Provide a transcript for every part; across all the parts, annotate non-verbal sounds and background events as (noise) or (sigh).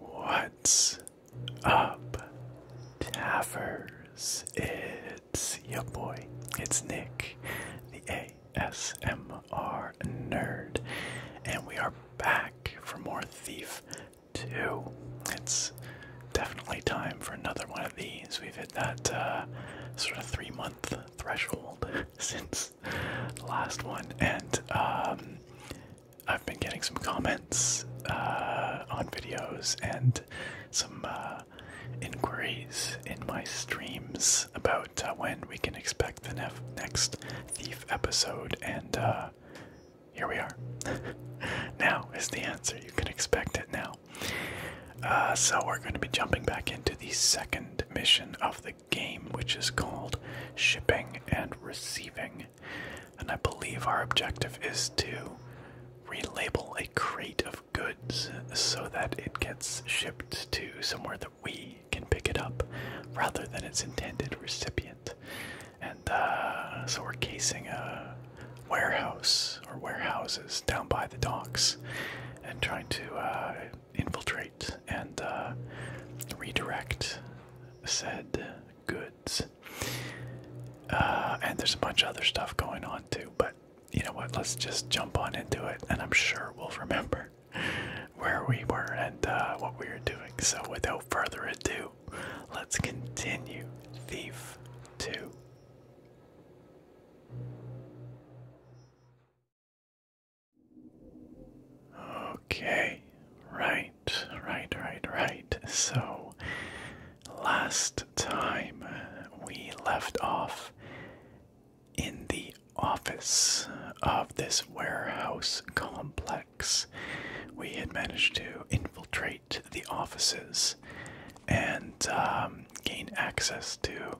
What's up, Taffers? It's your boy, it's Nick, the ASM are nerd, and we are back for more Thief 2. It's definitely time for another one of these. We've hit that uh, sort of three month threshold (laughs) since last one, and um, I've been getting some comments uh, on videos and some uh, inquiries in my streams about when we can expect the next Thief episode, and uh, here we are. (laughs) now is the answer. You can expect it now. Uh, so we're going to be jumping back into the second mission of the game, which is called Shipping and Receiving. And I believe our objective is to relabel a crate of goods so that it gets shipped to somewhere that we can pick it up rather than its intended recipient. And uh, so we're casing a warehouse or warehouses down by the docks and trying to uh, infiltrate and uh, redirect said goods. and there's a bunch of other stuff going on too, but you know what? Let's just jump on into it, and I'm sure we'll remember where we were and uh, what we were doing. So, without further ado, let's continue Thief 2. Okay, right, right, right, right. So, last time we left off in the office of this warehouse complex. We had managed to infiltrate the offices and um, gain access to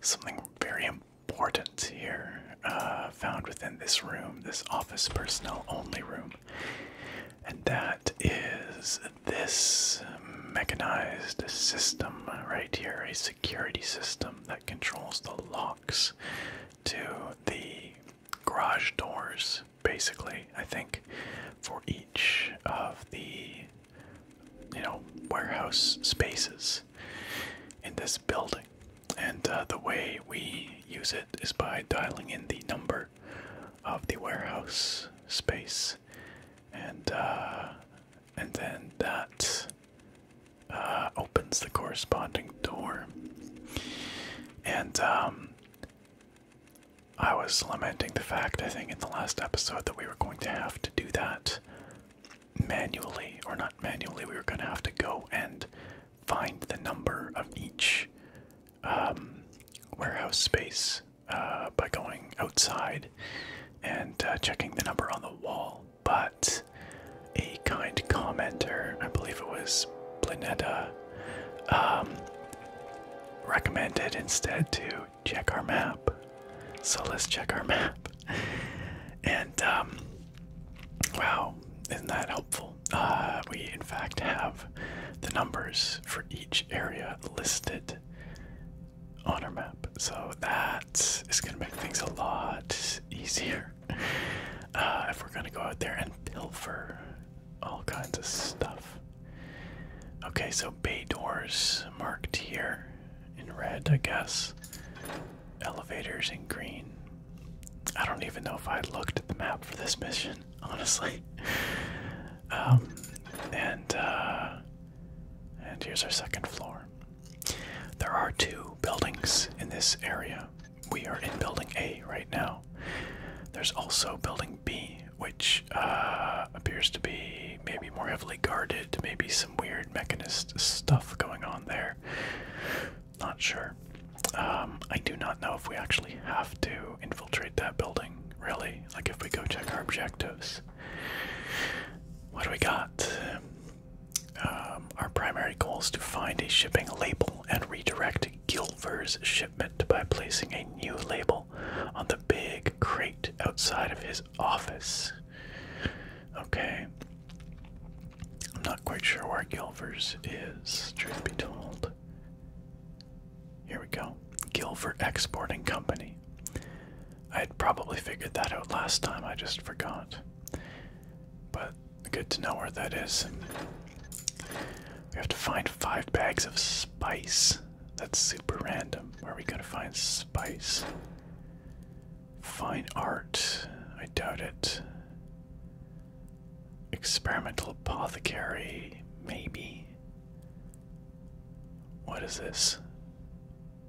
something very important here, uh, found within this room, this office personnel only room. And that is this mechanized system right here, security system that controls the locks to the garage doors, basically, I think, for each of the you know warehouse spaces in this building. And uh, the way we use it is by dialing in the number of the warehouse space, and uh, and then that uh, opens the corresponding door. And um, I was lamenting the fact, I think, in the last episode that we were going to have to do that manually, or not manually, we were going to have to go and find the number of each um, warehouse space uh, by going outside and uh, checking the number on the wall but a kind commenter, I believe it was Planeta, um, recommended instead to check our map. So let's check our (laughs) map. And um, wow, isn't that helpful? Uh, we in fact have the numbers for each area listed on our map. So that is going to make things a lot easier. Uh, if we're gonna go out there and pilfer all kinds of stuff. Okay, so bay doors marked here in red, I guess. Elevators in green. I don't even know if I looked at the map for this mission, (laughs) honestly. Um, and uh, and here's our second floor. There are two buildings in this area. We are in building A right now. There's also building B, which uh, appears to be maybe more heavily guarded, maybe some weird mechanist stuff going on there. Not sure. Um, I do not know if we actually have to infiltrate that building, really. Like if we go check our objectives. What do we got? Um, our primary goal is to find a shipping label and redirect Gilver's shipment by placing a new label on the big crate outside of his office. Okay. I'm not quite sure where Gilver's is, truth be told. Here we go. Gilver Exporting Company. I had probably figured that out last time, I just forgot. But Good to know where that is. We have to find five bags of spice. That's super random. Where are we gonna find spice? Fine art. I doubt it. Experimental apothecary. Maybe. What is this?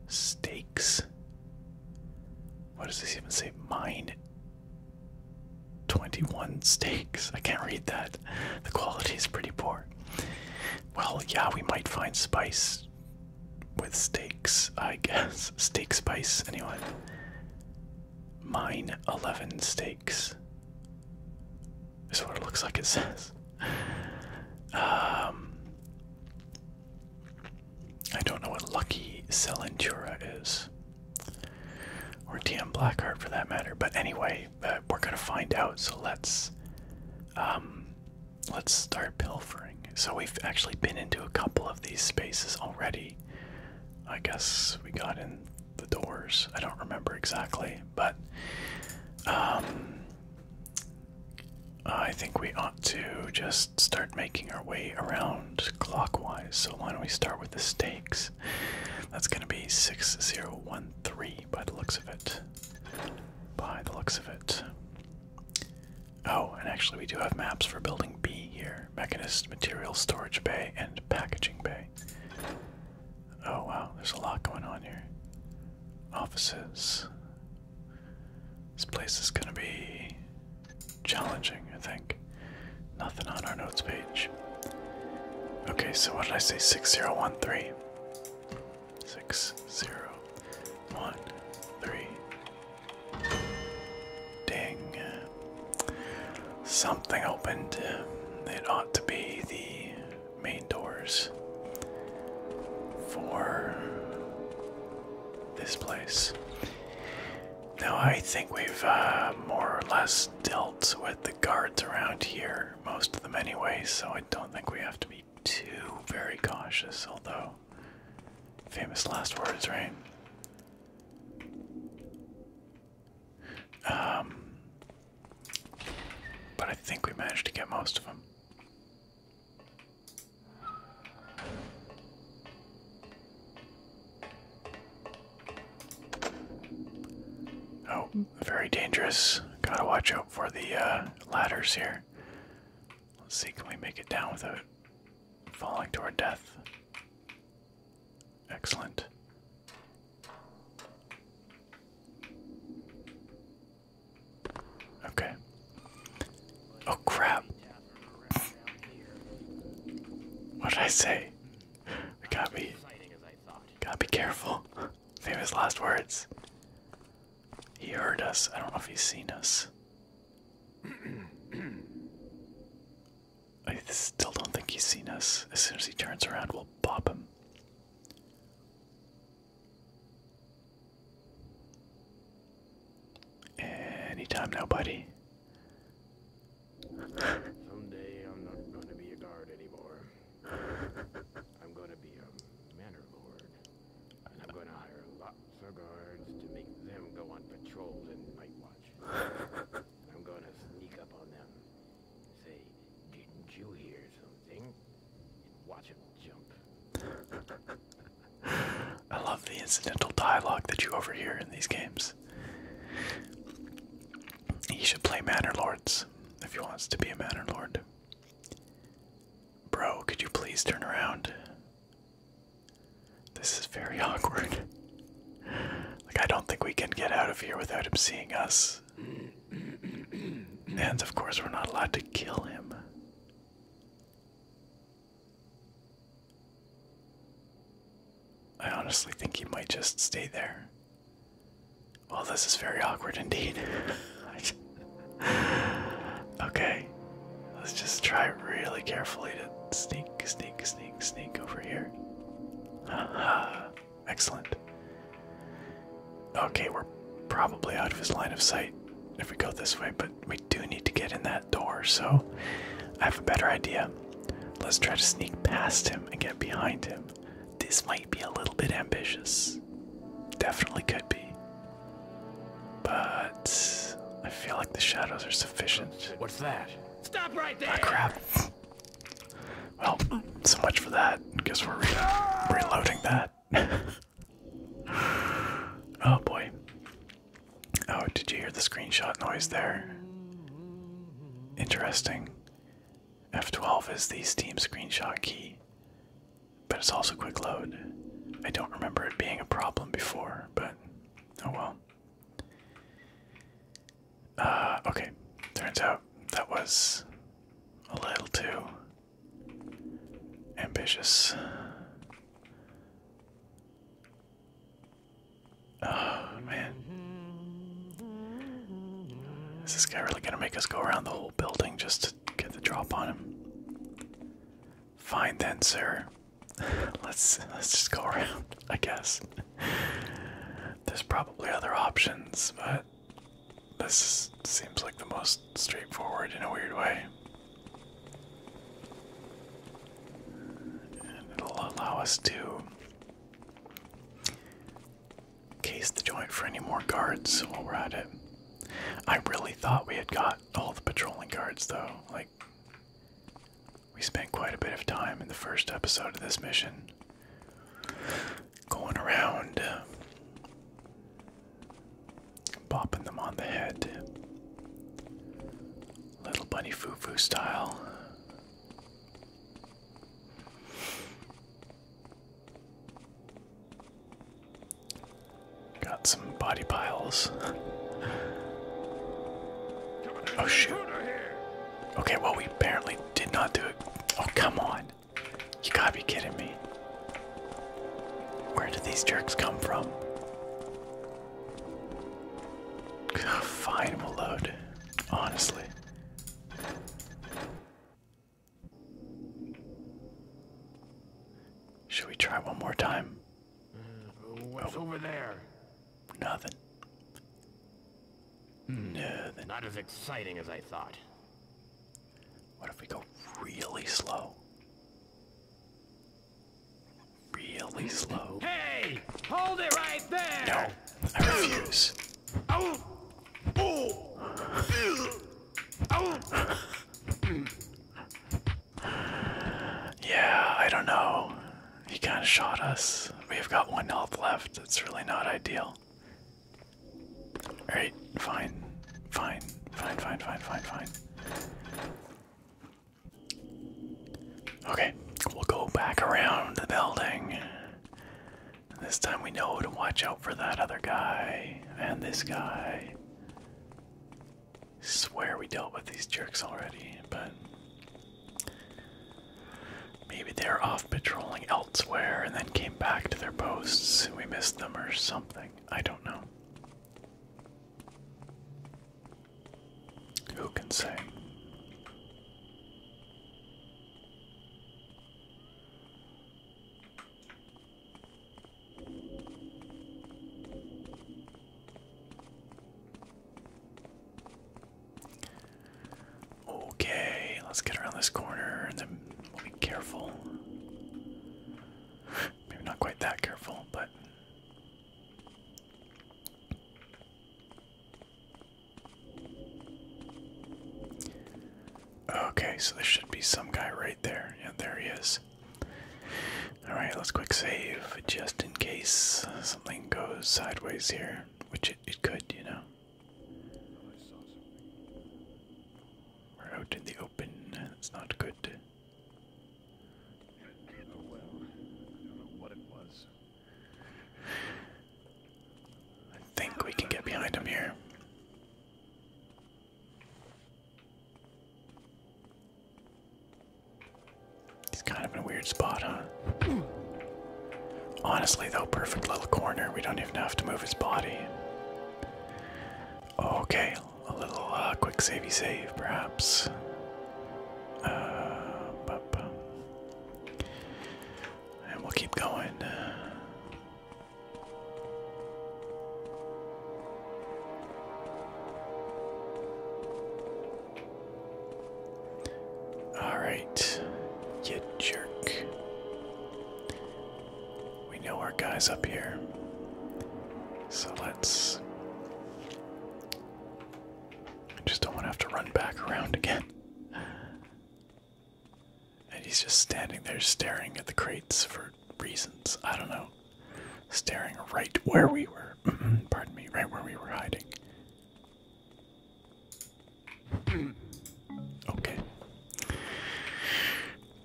Stakes? What does this even say? Mine 21 steaks. I can't read that. The quality is pretty poor. Well, yeah, we might find spice with steaks, I guess. (laughs) Steak spice, anyway. Mine 11 steaks is what it looks like it says. Um, I don't know what Lucky Selentura is. Or TM Blackheart for that matter. But anyway, uh, we're gonna find out, so let's um let's start pilfering. So we've actually been into a couple of these spaces already. I guess we got in the doors. I don't remember exactly, but um I think we ought to just start making our way around clockwise. So why don't we start with the stakes? That's going to be 6013 by the looks of it. By the looks of it. Oh, and actually, we do have maps for building B here mechanist, material storage bay, and packaging bay. Oh wow, there's a lot going on here. Offices. This place is gonna be challenging, I think. Nothing on our notes page. Okay, so what did I say? 6013. 6013. Ding. Something opened. It ought to be the main doors for this place. No, I think we've uh, more or less dealt with the guards around here, most of them anyway, so I don't think we have to be too very cautious, although famous last words, right? Um, but I think we managed to get most of them. Oh, very dangerous. Gotta watch out for the uh, ladders here. Let's see, can we make it down without falling to our death? Excellent. Okay. Oh crap. What did I say? We gotta be, gotta be careful. Famous last words. He heard us. I don't know if he's seen us. (clears throat) I still don't think he's seen us. As soon as he turns around, we'll pop him. Anytime now, buddy. Someday I'm not going to be a guard anymore. I'm going to be a manor lord. And I'm going to hire lots of guards to make them go on patrols and night watch. I'm going to sneak up on them say, Didn't you hear something? And watch them jump. I love the incidental dialogue that you overhear in these games. He should play Manor Lords if he wants to be a Manor Lord. Bro, could you please turn around? This is very (laughs) awkward. Like, I don't think we can get out of here without him seeing us. and of course, we're not allowed to kill him. I honestly think he might just stay there. Well, this is very awkward indeed. (laughs) okay, let's just try really carefully to sneak, sneak, sneak, sneak over here. excellent. Okay, we're probably out of his line of sight if we go this way, but we do need to get in that door, so I have a better idea. Let's try to sneak past him and get behind him. This might be a little bit ambitious. Definitely could be. But I feel like the shadows are sufficient. What's that? Stop right there! Oh, crap. Well, so much for that. Guess we're reloading that. (laughs) oh boy. Oh, did you hear the screenshot noise there? Interesting. F12 is the Steam screenshot key, but it's also quick load. I don't remember it being a problem before, but oh well. Uh, okay, turns out that was a little too ambitious. Oh man. Is this guy really gonna make us go around the whole building just to get the drop on him? Fine then, sir. (laughs) let's let's just go around, (laughs) I guess. There's probably other options, but this seems like the most straightforward in a weird way it'll allow us to case the joint for any more guards while we're at it. I really thought we had got all the patrolling guards though. Like, we spent quite a bit of time in the first episode of this mission going around, uh, bopping them on the head. Little bunny foo foo style. Got some body piles. oh shoot. Okay, well, we apparently did not do it. Oh, come on. You gotta be kidding me. Where did these jerks come from? (sighs) Fine, we'll load. Honestly. Should we try one more time? Mm, what's oh. over there? Nothing. Hmm. Nothing. Not as exciting as I thought. What if we go really slow? really slow. Hey, hold it right there. No, I refuse. Oh, oh, oh. yeah, I don't know. He kind of shot us. We've got one health left. That's really not ideal. All right, fine, fine, fine, fine, fine, fine, fine. Okay, we'll go back around the building. This time we know to watch out for that other guy and this guy. Swear we dealt with these jerks already, but maybe they're off patrolling elsewhere and then came back to their posts we missed them or something. I don't know. Who can say? Okay, let's get around this corner and then we'll be careful. Maybe not quite that careful, but Okay, so there should be some guy right there. Yeah, there he is. Alright, let's quick save just in case something goes sideways here, which it, could, you know. We're out in the open, that's not good. Oh I think we can get behind him here. He's kind of in a weird spot, huh? Honestly, though, perfect little corner. We don't even have to move his body. Okay, a little uh, quick savey save, perhaps. Uh, and we'll keep going. Uh. All right, you jerk. We know our guy's up here. So let's I just don't want to have to run back around again. And he's just standing there staring at the crates for reasons. I don't know. Staring right where we were. Mm-hmm. Pardon me, right where we were hiding. Okay.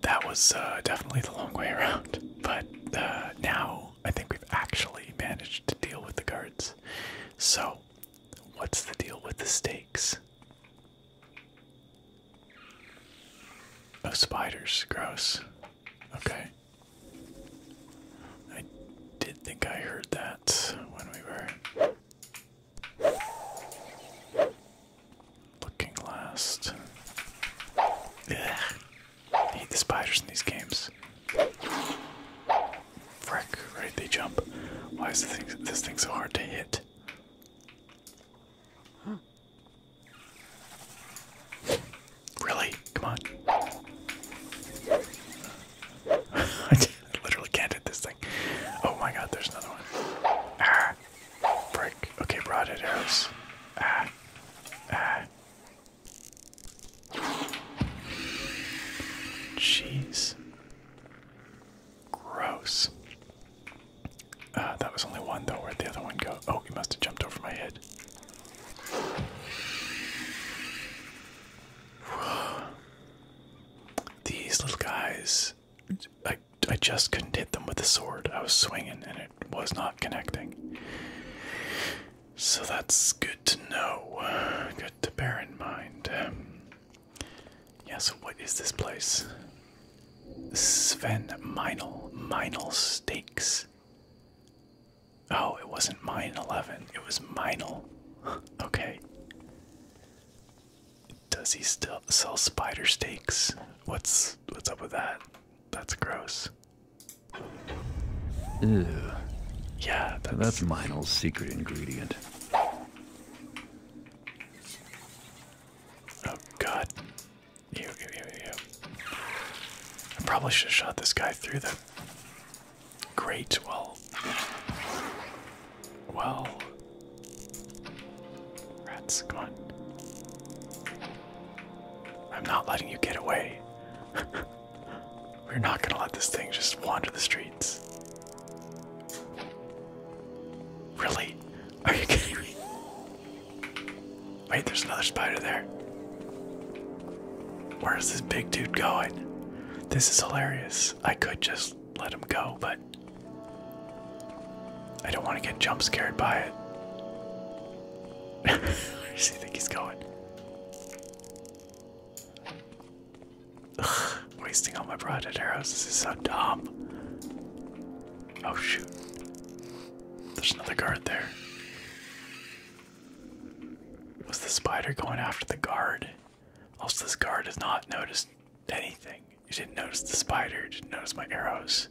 That was uh, definitely the long way around. But uh, now I think we've actually managed to deal with the guards. So, what's the deal with the stakes? Oh, spiders. Gross. Okay. I did think I heard that when we were looking last. I hate the spiders in these games. Frick, right? They jump. Why is thing, this thing so hard to hit? Really? Come on. (laughs) I literally can't hit this thing. Oh my god, there's another one. Ah! Okay, broadhead arrows. Ah. Ah. Jeez. Gross. Uh, that was only one though. Where'd the other one go? Oh, he must have jumped over my head. (sighs) These little guys, I, I just couldn't hit them with the sword. I was swinging and it was not connecting. So that's good to know. Good to bear in mind. yeah, so what is this place? Sven Meinl. Meinl Steaks. Oh, it wasn't mine 11, it was Meinl. (laughs) okay. Does he still sell spider steaks? What's what's up with that? That's gross. Ew. Yeah, that's, my Minel's secret ingredient. Oh god. Ew, ew, ew, I probably should have shot this guy through the Great, Well, well. Rats, come on. I'm not letting you get away. (laughs) We're not gonna let this thing just wander the streets. Really? Are you kidding me? Wait, there's another spider there. Where is this big dude going? This is hilarious. I could just let him go, but I don't want to get jump scared by it. Where does he think he's going? Ugh, wasting all my broadhead arrows. This is so dumb. Oh shoot. There's another guard there. Was the spider going after the guard? Also, this guard has not notice anything. You didn't notice the spider, you didn't notice my arrows.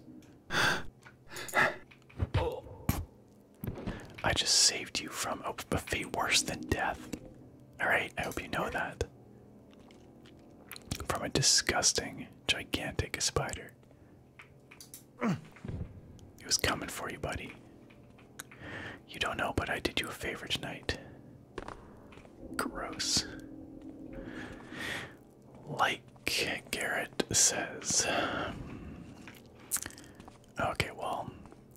I just saved you from a, fate worse than death. Alright, I hope you know that. From a disgusting, gigantic spider. It was coming for you, buddy. You don't know, but I did you a favor tonight. Gross. Like Garrett says, Okay, well,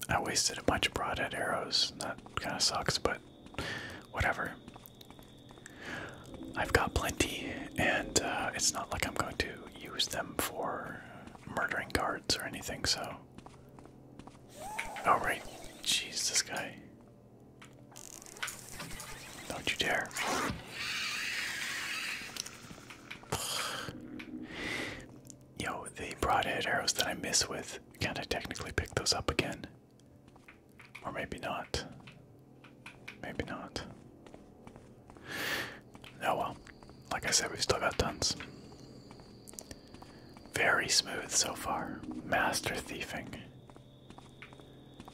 I wasted a bunch of broadhead arrows. That kind of sucks, but whatever. I've got plenty, and uh, it's not like I'm going to use them for murdering guards or anything, so. all oh, right, Jeez, this guy. Don't you dare. Yo, the broadhead arrows that I miss with, can I technically pick those up again? Or maybe not. Maybe not. Oh well. Like I said, we've still got tons. Very smooth so far. Master thieving.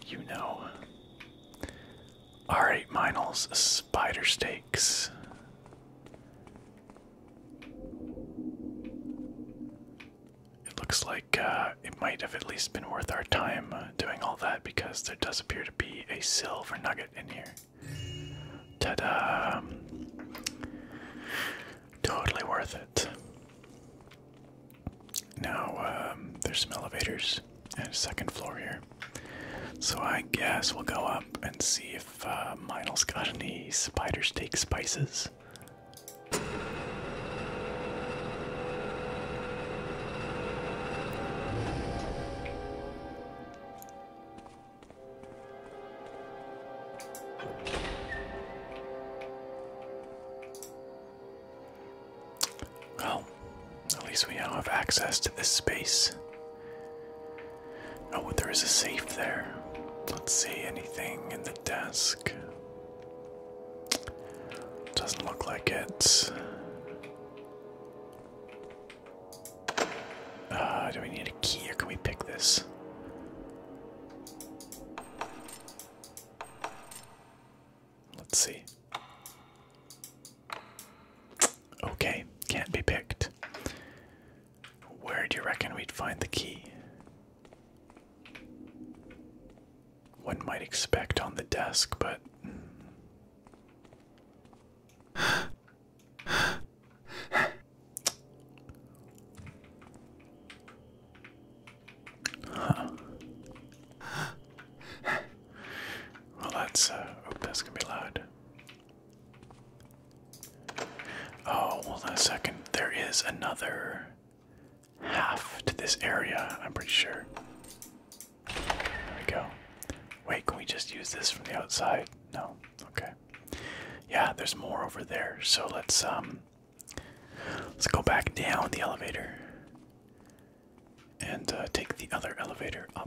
You know. Alright, Minos spider Stakes. It looks like uh, it might have at least been worth our time uh, doing all that because there does appear to be a silver nugget in here. Ta da! Um, totally worth it. Now, um, there's some elevators and a second floor here. So I guess we'll go up and see if uh, has got any spider steak spices. Well, at least we now have access to this space. Oh, there is a safe there. Let's see anything in the desk. Doesn't look like it. Uh, do we need a key or can we pick this? Let's see. Okay, can't be picked. Where do you reckon we'd find the key? One might expect on the desk, but. Huh. Well, that's. Uh... Oh, that's gonna be loud. Oh, hold on a second. There is another half to this area, I'm pretty sure. There we go. Wait, can we just use this from the outside? No. Okay. Yeah, there's more over there. So let's um let's go back down the elevator and uh, take the other elevator up.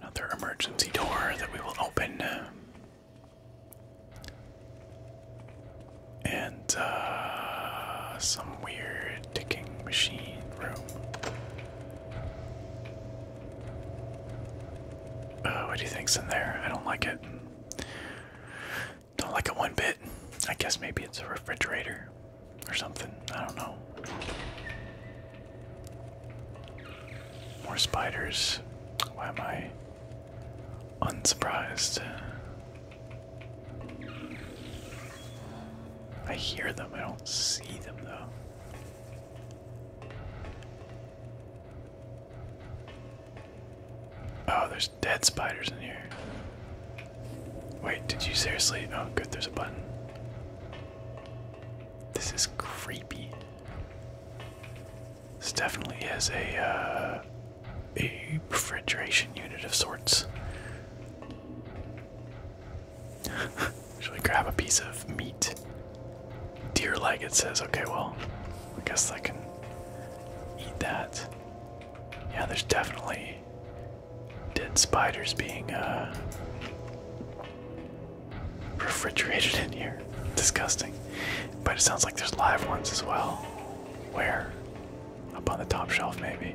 Another emergency door that we will open. And uh, some weird ticking machine room. Uh, what do you think's in there? I don't like it. Don't like it one bit. I guess maybe it's a refrigerator or something. I don't know. More spiders. Why am I unsurprised? I hear them, I don't see them though. Oh, there's dead spiders in here. Wait, did you seriously? Oh, good, there's a button. This is creepy. This definitely has a uh, a refrigeration unit of sorts. (laughs) Should I grab a piece of meat? Deer leg. It says. Okay, well, I guess I can eat that. Yeah, there's definitely dead spiders being uh, refrigerated in here. Disgusting. But it sounds like there's live ones as well. Where? Up on the top shelf, maybe.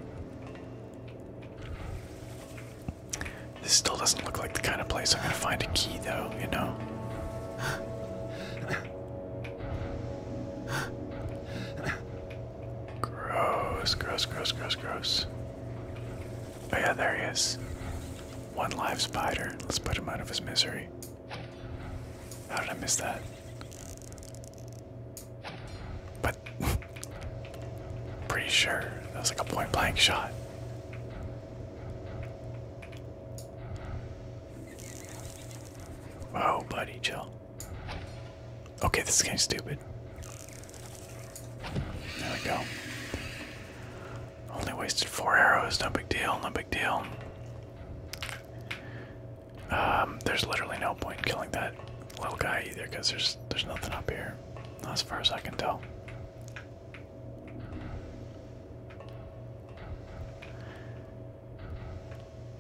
This still doesn't look like the kind of place I'm gonna find a key, though, you know? Gross, gross, gross, gross, gross. Oh yeah, there he is. One live spider. Let's put him out of his misery. How did I miss that? But (laughs) pretty sure that was like a point blank shot. Whoa, oh, buddy, chill. Okay, this is getting stupid. There we go. Only wasted four arrows, no big deal, no big deal. Um, there's literally no point in killing that little guy either, because there's there's nothing up here. Not as far as I can tell.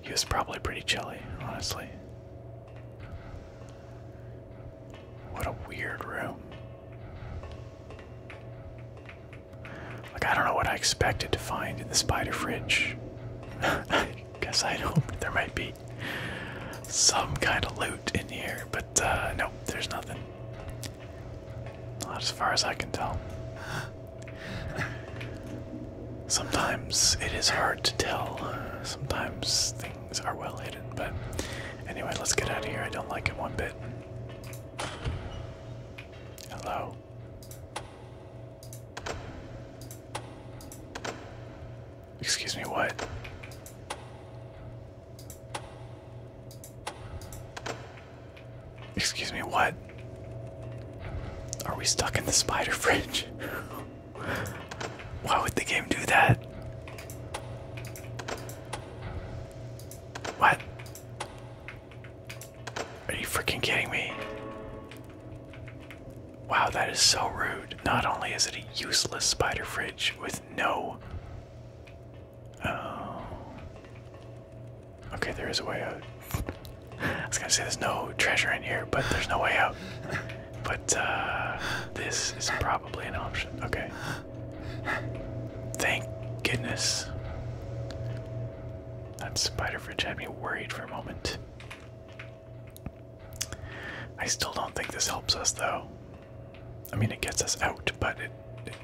He was probably pretty chilly, honestly. What a weird room. Like, I don't know what I expected to find in the spider fridge. I (laughs) guess i hoped there might be some kind of loot in here, but uh, nope, there's nothing. Not as far as I can tell. Sometimes it is hard to tell. Sometimes things are well hidden. But anyway, let's get out of here. I don't like it one bit. Hello. Excuse me, what? Excuse me, what? Are we stuck in the spider fridge? (laughs) Why would the game do that? What? Are you freaking kidding me? Wow, that is so rude. Not only is it a useless spider fridge with no. Oh. Okay, there is a way out. I was gonna say there's no treasure in here, but there's no way out. But uh, this is probably an option. Okay. Thank goodness. That spider fridge had me worried for a moment. I still don't think this helps us, though. I mean, it gets us out, but it,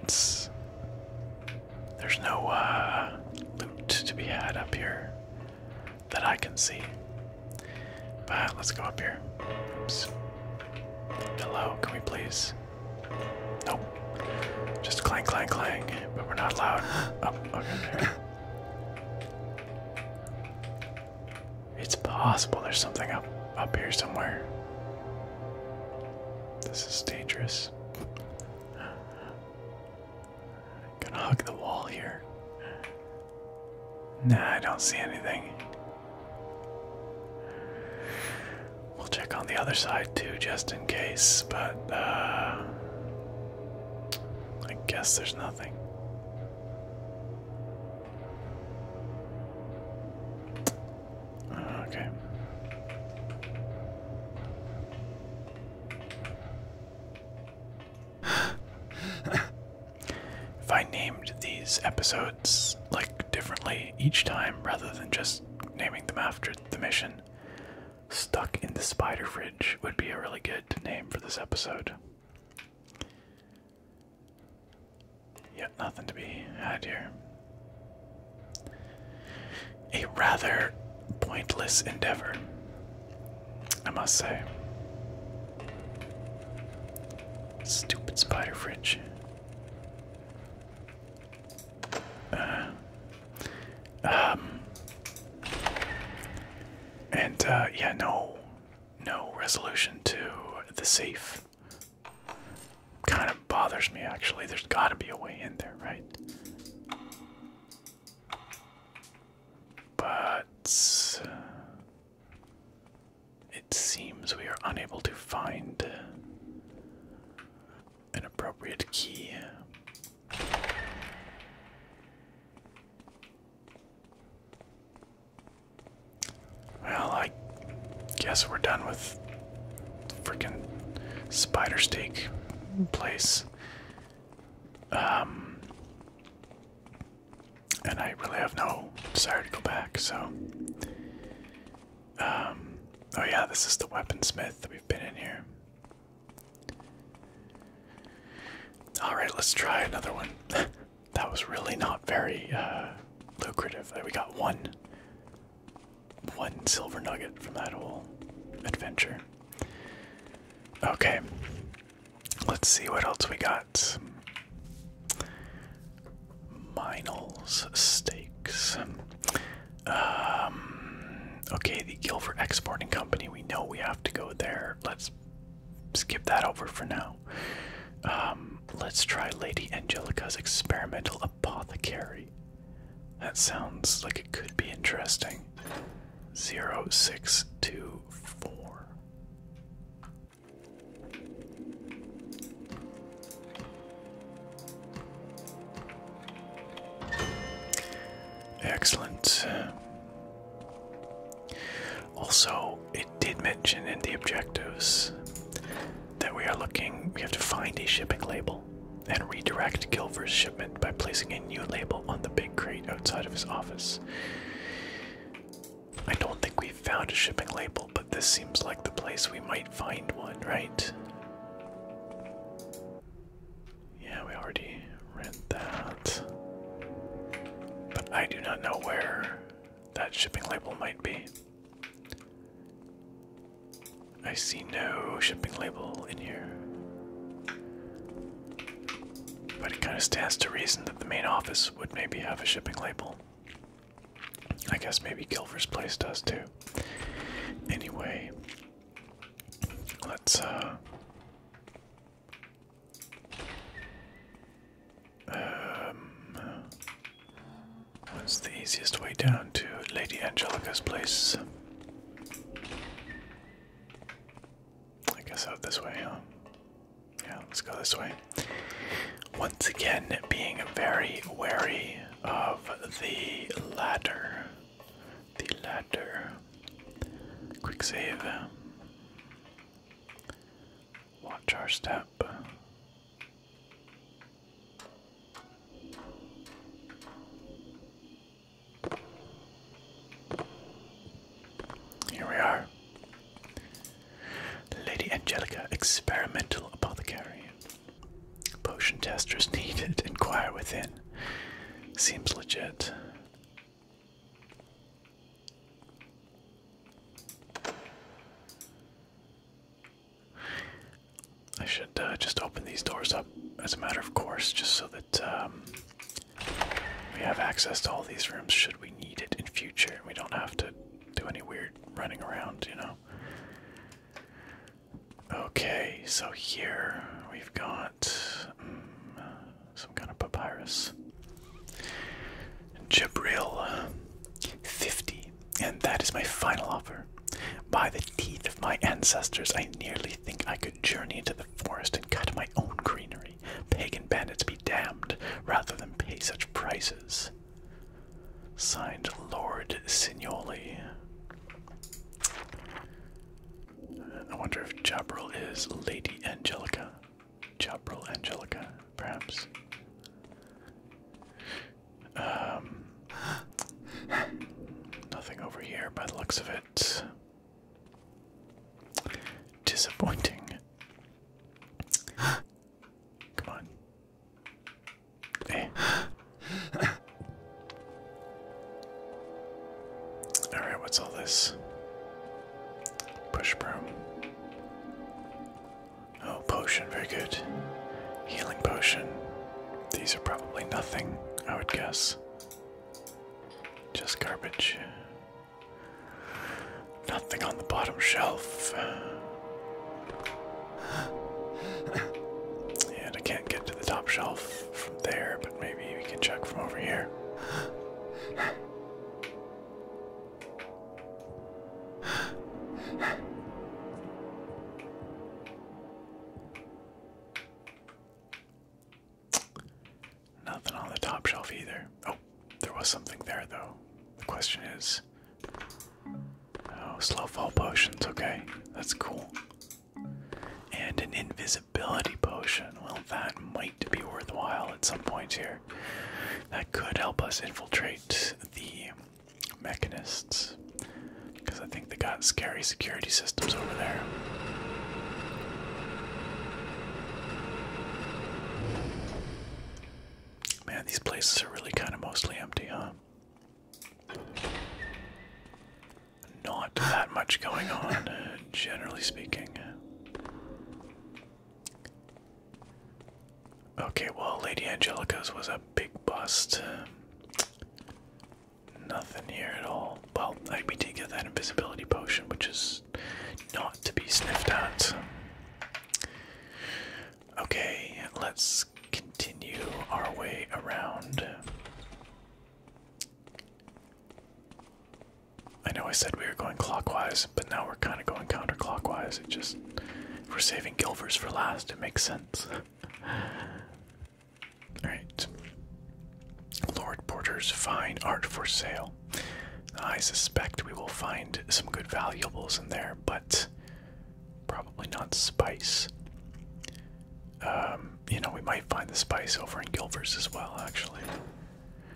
it's. There's no uh, loot to be had up here that I can see. But let's go up here. Oops. Hello, can we please? Nope. Just clang, clang, clang. But we're not allowed. (gasps) Oh, okay. It's possible there's something up up here somewhere. This is dangerous. Gonna hug the wall here. Nah, I don't see anything. We'll check on the other side too, just in case, but uh, I guess there's nothing. Uh, okay. (laughs) If I named these episodes like differently each time rather than just naming them after the mission, Stuck in the Spider Fridge would be a really good name for this episode. Yet nothing to be had here. A rather pointless endeavor, I must say. Stupid spider fridge. Uh, um, and uh, yeah, no, no resolution to the safe. Kind of bothers me actually. There's got to be a way in there, right? But. Uh, it seems we are unable to find an appropriate key. Well, I guess we're done with freaking spider steak place. Um and I really have no desire to go back. So, um, oh yeah, this is the weaponsmith that we've been in here. All right, let's try another one. (laughs) that was really not very uh, lucrative. Uh, we got one, one silver nugget from that whole adventure. Okay, let's see what else we got at Minel's Steaks. Um, okay, the Guilford Exporting Company. We know we have to go there. Let's skip that over for now. Um, let's try Lady Angelica's Experimental Apothecary. That sounds like it could be interesting. Zero six two four. Excellent. Also, it did mention in the objectives that we are looking, we have to find a shipping label and redirect Gilver's shipment by placing a new label on the big crate outside of his office. I don't think we've found a shipping label, but this seems like the place we might find one, right? Yeah, we already read that. But I do not know where that shipping label might be. I see no shipping label in here. But it kind of stands to reason that the main office would maybe have a shipping label. I guess maybe Kilver's place does too. Anyway, let's uh, um, what's the easiest way down to Lady Angelica's place? I guess out this way, huh? Yeah, let's go this way. Once again, being very wary of the ladder. The ladder. Quick save. Watch our step. Here we are. Lady Angelica, experimental apothecary. Potion testers needed. (laughs) Inquire within. Seems legit. I should uh, just open these doors up as a matter of course, just so that um, we have access to all these rooms should we need it in future. We don't have to do any weird running around, you know. Okay, so here we've got mm, some kind of papyrus. Jabril 50, and that is my final offer. By the teeth of my ancestors, I nearly think I could journey into the forest and cut my own greenery. Pagan bandits be damned rather than pay such prices. Signed Lord Signoli. I wonder if Jabril is Lady Angelica. Jabril Angelica, perhaps. Um, nothing over here by the looks of it. Disappointing. Come on. Hey. Eh. Alright, what's all this? Push broom. Oh, potion, very good. Healing potion. These are probably nothing, I would guess. Just garbage. Nothing on the bottom shelf. And I can't get to the top shelf from there, but maybe we can check from over here. Nothing on the top shelf either. Oh, there was something there, though. The question is. Oh, slow fall potions, okay. That's cool. And an invisibility potion. Well, that might be worthwhile at some point here. That could help us infiltrate the mechanists. Because I think they got scary security systems over there. Man, these places are really kind of mostly empty, huh? Not that much going on, uh, generally speaking. Okay, well, Lady Angelica's was a big bust. nothing here at all. Well, I, we did get that invisibility potion, which is not to be sniffed at. Okay, let's continue our way around. I know I said we were going clockwise, but now we're kind of going counterclockwise. It just, we're saving Gilvers for last, it makes sense. (laughs) Alright. Lord Porter's fine art for sale. I suspect we will find some good valuables in there, but Probably not spice. Um, you know, we might find the spice over in Gilvers as well, actually.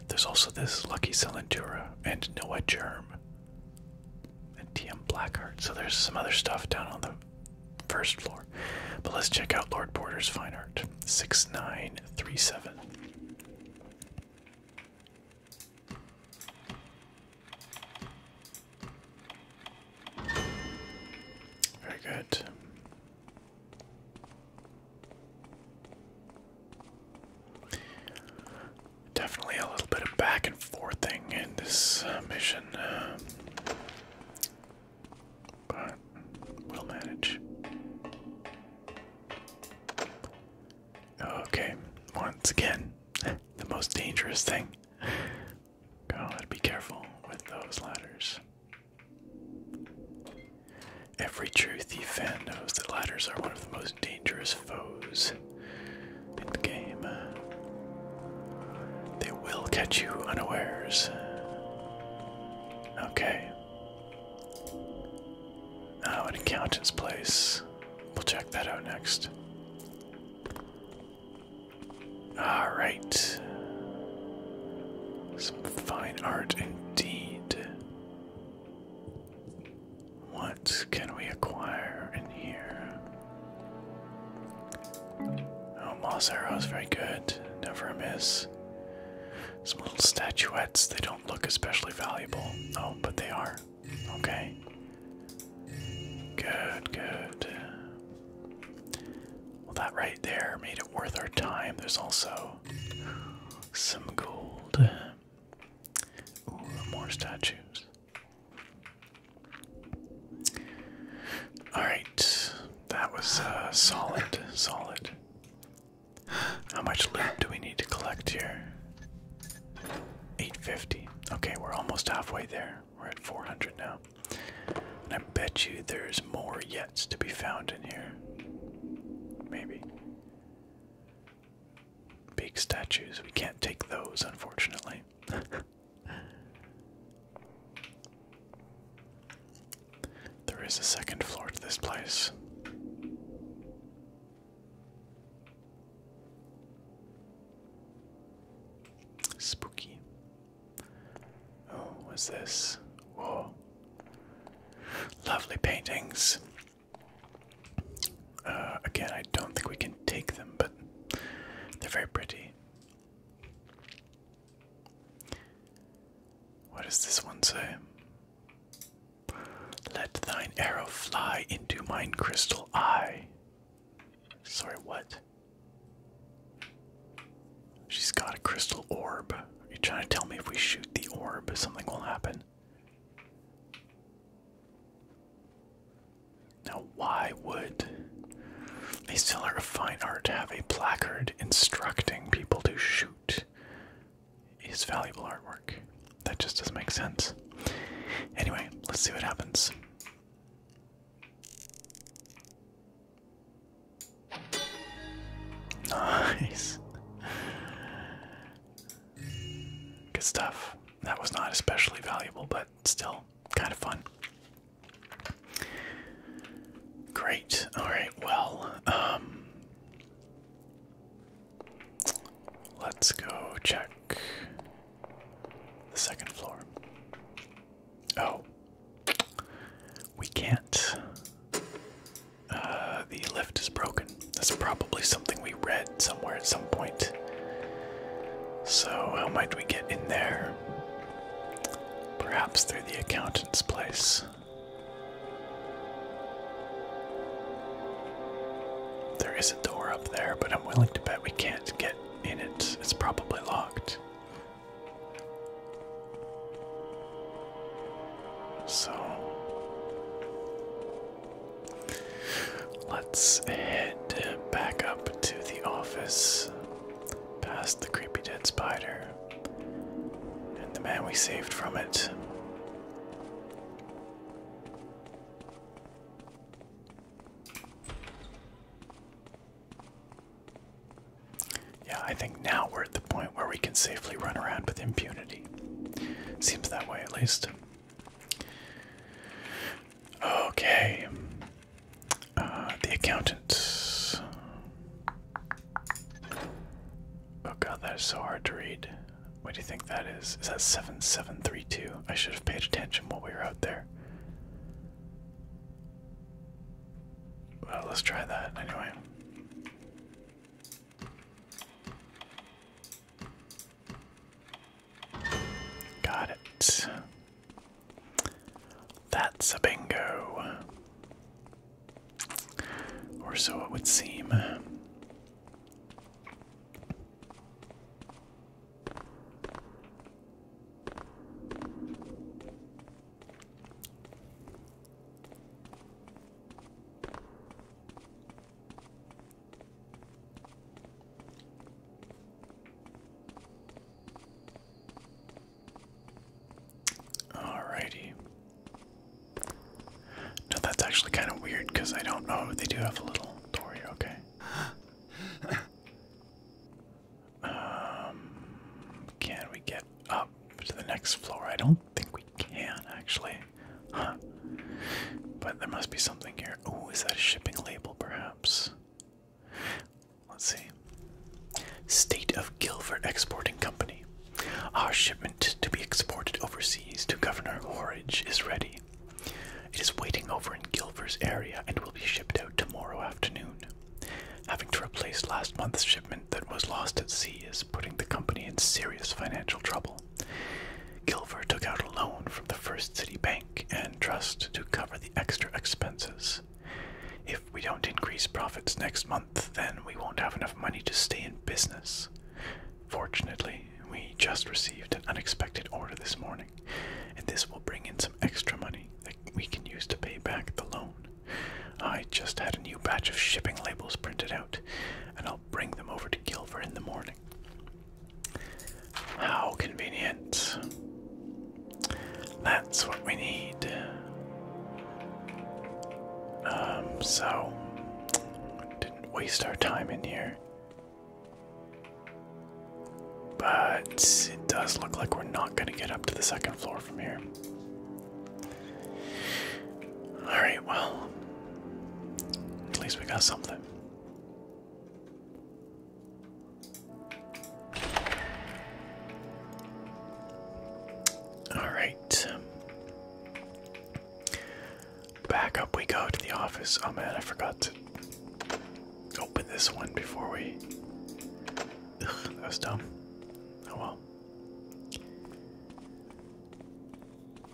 There's also this Lucky Salentura and Noah Germ and TM Blackheart. So there's some other stuff down on the first floor. But let's check out Lord Porter's Fine Art 6937. Very good. Definitely a little bit of back and forthing in this uh, mission, um, but we'll manage. Okay, once again, the most dangerous thing. God, be careful with those ladders. Every true thief fan knows that ladders are one of the most dangerous foes in the game. They will catch you unawares. Okay. Oh, an accountant's place. We'll check that out next. Alright. Some fine art indeed. What can we acquire in here? Oh, moss arrows, very good. Never miss. Some little statuettes, they don't look especially valuable. Oh, but they are. Okay. Good, good. Well, that right there made it worth our time. There's also some gold. more statues. Alright, that was uh, solid, solid. How much loot do we need to collect here? 850. Okay, we're almost halfway there. We're at 400 now. And I bet you there's more yet to be found in here. Maybe. Big statues. We can't take those, unfortunately. (laughs) there is a second floor to this place. Spooky. Oh, what's this? Whoa. Lovely paintings. Uh, again, I don't think we can take them, but they're very pretty. What does this one say? Let thine arrow fly into mine crystal eye. Sorry, what? She's got a crystal orb. Are you trying to tell me if we shoot the orb, something will happen? Now, why would a seller of fine art have a placard instructing people to shoot his valuable artwork? That just doesn't make sense. Anyway, let's see what happens. (laughs) Nice. Good stuff. That was not especially valuable, but still kind of fun. Great. All right. Well, um, Let's go check the second floor. Oh, we can't. Uh, the lift is broken. That's probably something we read somewhere at some point. So, how might we get in there? Perhaps through the accountant's place. There is a door there, but I'm willing to bet we can't get in it. It's probably locked. So let's head back up to the office, past the creepy dead spider and the man we saved from it. Yeah, I think now we're at the point where we can safely run around with impunity. Seems that way, at least. Okay. Uh, the accountants. Oh god, that is so hard to read. What do you think that is? Is that 7732? I should have paid attention while we were out there. Well, let's try that anyway. Got it. That's a bingo. Or so it would seem. Alrighty. No, that's actually kind of weird because I don't know. They do have a little door here, okay um, can we get up to the next floor? I don't think we can actually. But there must be something here. Oh, is that a shipping label perhaps? Let's see. State of Guilford Exporting Company. Our shipment to be exported overseas to Governor Horridge is ready. It is waiting over in Gilver's area and will be shipped out tomorrow afternoon. Having to replace last month's shipment that was lost at sea is putting the company in serious financial trouble. Gilver took out a loan from the First City Bank and Trust to cover the extra expenses. If we don't increase profits next month, then we won't have enough money to stay in business. Fortunately, we just received an unexpected order this morning, and this will bring in some extra money that we can use to pay back the loan. I just had a new batch of shipping labels printed out, and I'll bring them over to Gilver in the morning. How convenient. That's what we need. Um, so, didn't waste our time in here. But it does look like we're not going to get up to the second floor from here. Alright, well, at least we got something. Alright. Back up we go to the office. Oh man, I forgot to open this one before we. that was dumb. Oh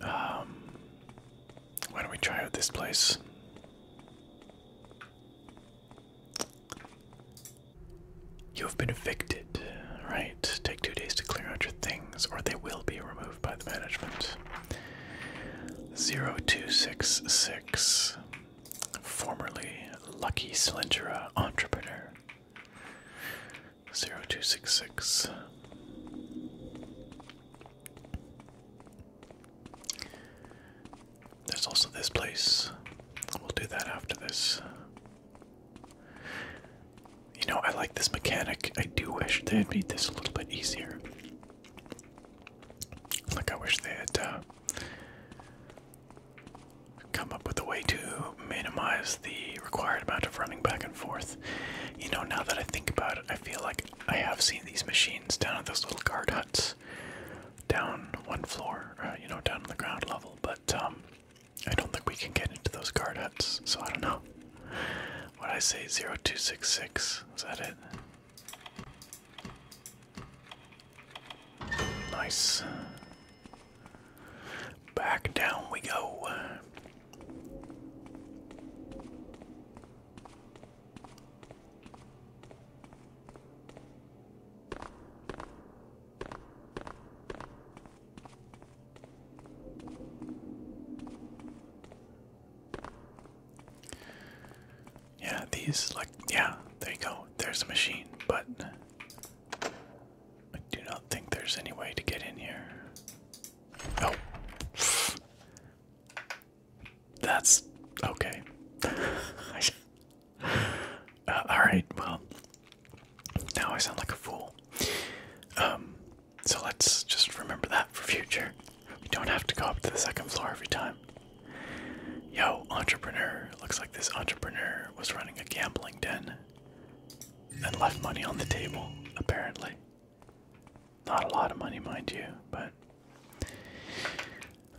well. Um, why don't we try out this place? You have been evicted. Right. Take two days to clear out your things, or they will be removed approved by the management. 0266, formerly Lucky Slingera Entrepreneur. 0266. There's also this place. We'll do that after this. You know, I like this mechanic. I do wish they would made this a little bit easier. Like I wish they had uh, come up with a way to minimize the required amount of running back and forth. You know, now that I think about it, I feel like I have seen these machines down at those little guard huts, down one floor, uh, you know, down on the ground level. But um, I don't think we can get into those guard huts, so I don't know. What I say, zero two six six. Is that it? Nice. Back down we go. Yeah, these like yeah, there you go. There's a machine, but I do not think there's any way to get in here. Oh. That's okay. (laughs) Uh, all right. Well, now I sound like a fool. Um so let's just remember that for future. We don't have to go up to the second floor every time. Yo, entrepreneur. Looks like this entrepreneur was running a gambling den and left money on the table, apparently. Not a lot of money, mind you, but.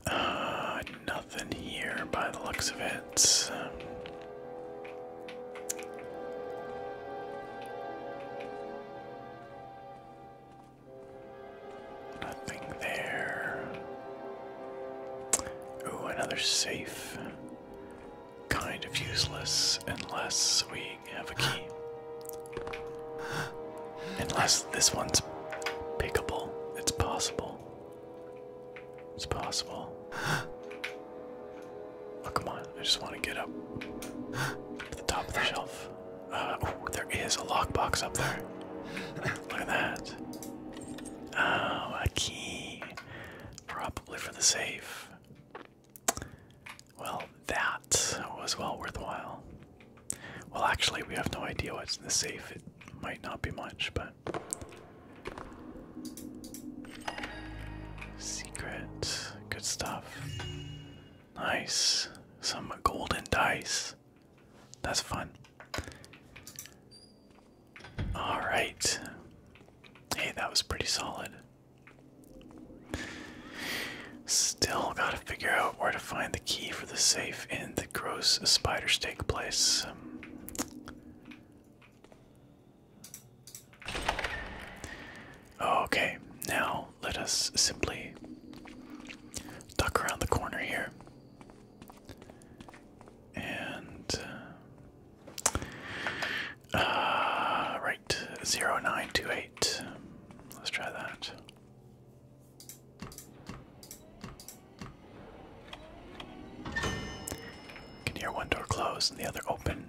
Uh, nothing here by the looks of it. Nothing there. Oh, another safe. Kind of useless unless we have a key. Unless this one's pickable. It's possible. It's possible. Oh, come on. I just want to get up to the top of the shelf. Uh, there is a lockbox up there. (laughs) Look at that. Oh, a key. Probably for the safe. Well, that was well worthwhile. Well, actually, we have no idea what's in the safe. It might not be much, but. Secret. Good stuff. Nice. Some golden dice. That's fun. Alright. Hey, that was pretty solid. Still gotta figure out where to find the key for the safe in the gross spiders take place. Okay, now let us simply duck around the corner here. And uh, uh, right, 0928. Let's try that. Can hear one door close and the other open.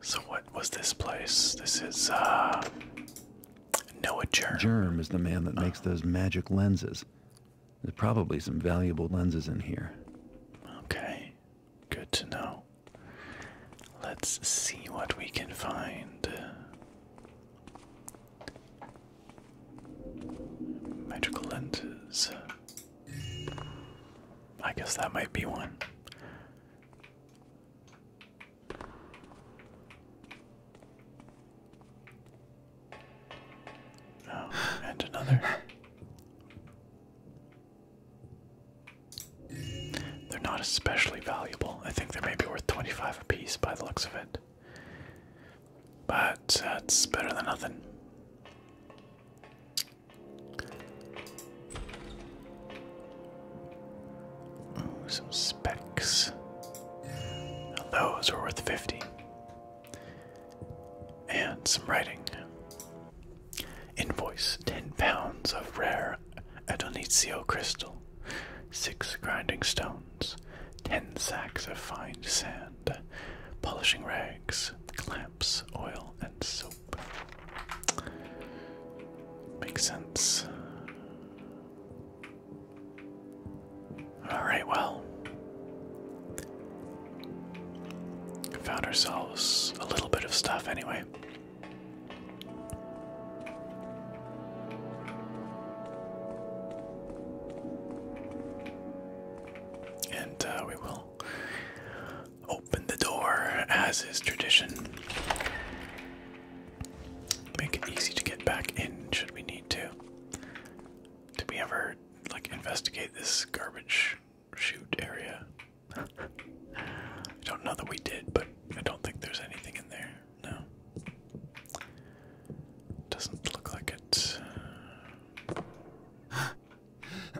So what was this place? This is uh Noah Germ. Germ is the man that oh. makes those magic lenses. There's probably some valuable lenses in here. Okay. Good to know. Let's see what we can find. Magical lenses. I guess that might be one. Oh, and another. They're not especially valuable. I think they may be worth 25 apiece by the looks of it. But that's better than nothing some specs. those are worth 50. And some writing. Invoice 10 pounds of rare Adonizio crystal, 6 grinding stones, 10 sacks of fine sand, polishing rags, clamps, oil, and soap. Makes sense. Alright, well. Found ourselves a little bit of stuff anyway. And uh, we will Open the door, as is tradition. Make it easy to get back in should we need to. Did we ever like investigate this garbage chute area? I don't know that we did, but I don't think there's anything in there. No. Doesn't look like it.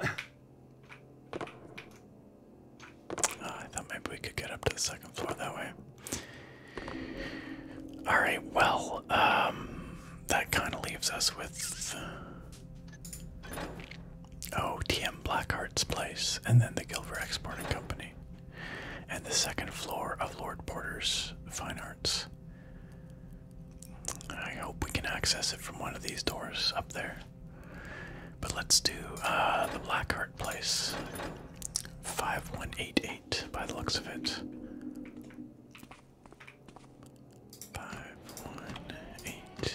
(laughs) Ah, I thought maybe we could get up to the second floor that way. All right, well, um, that kind of leaves us with O.T.M. oh, TM Blackheart's place, and then the Gilver Exporting Company, and the second floor of Lord Porter's Fine Arts. I hope we can access it from one of these doors up there. But let's do uh, the Blackheart place. 5188 by the looks of it. 5188.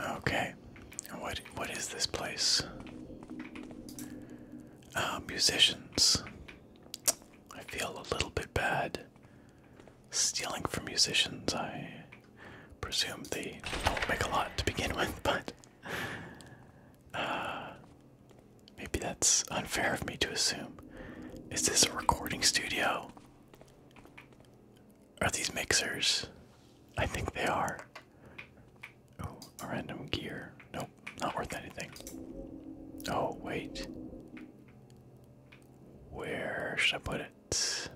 Okay. What what is this place? Uh, musicians. I feel a little bit bad stealing from musicians. I presume they don't make a lot to begin with, (laughs) but uh, maybe that's unfair of me to assume. Is this a recording studio? Are these mixers? I think they are. Oh, a random gear. Nope, not worth anything. Oh, wait. Where should I put it?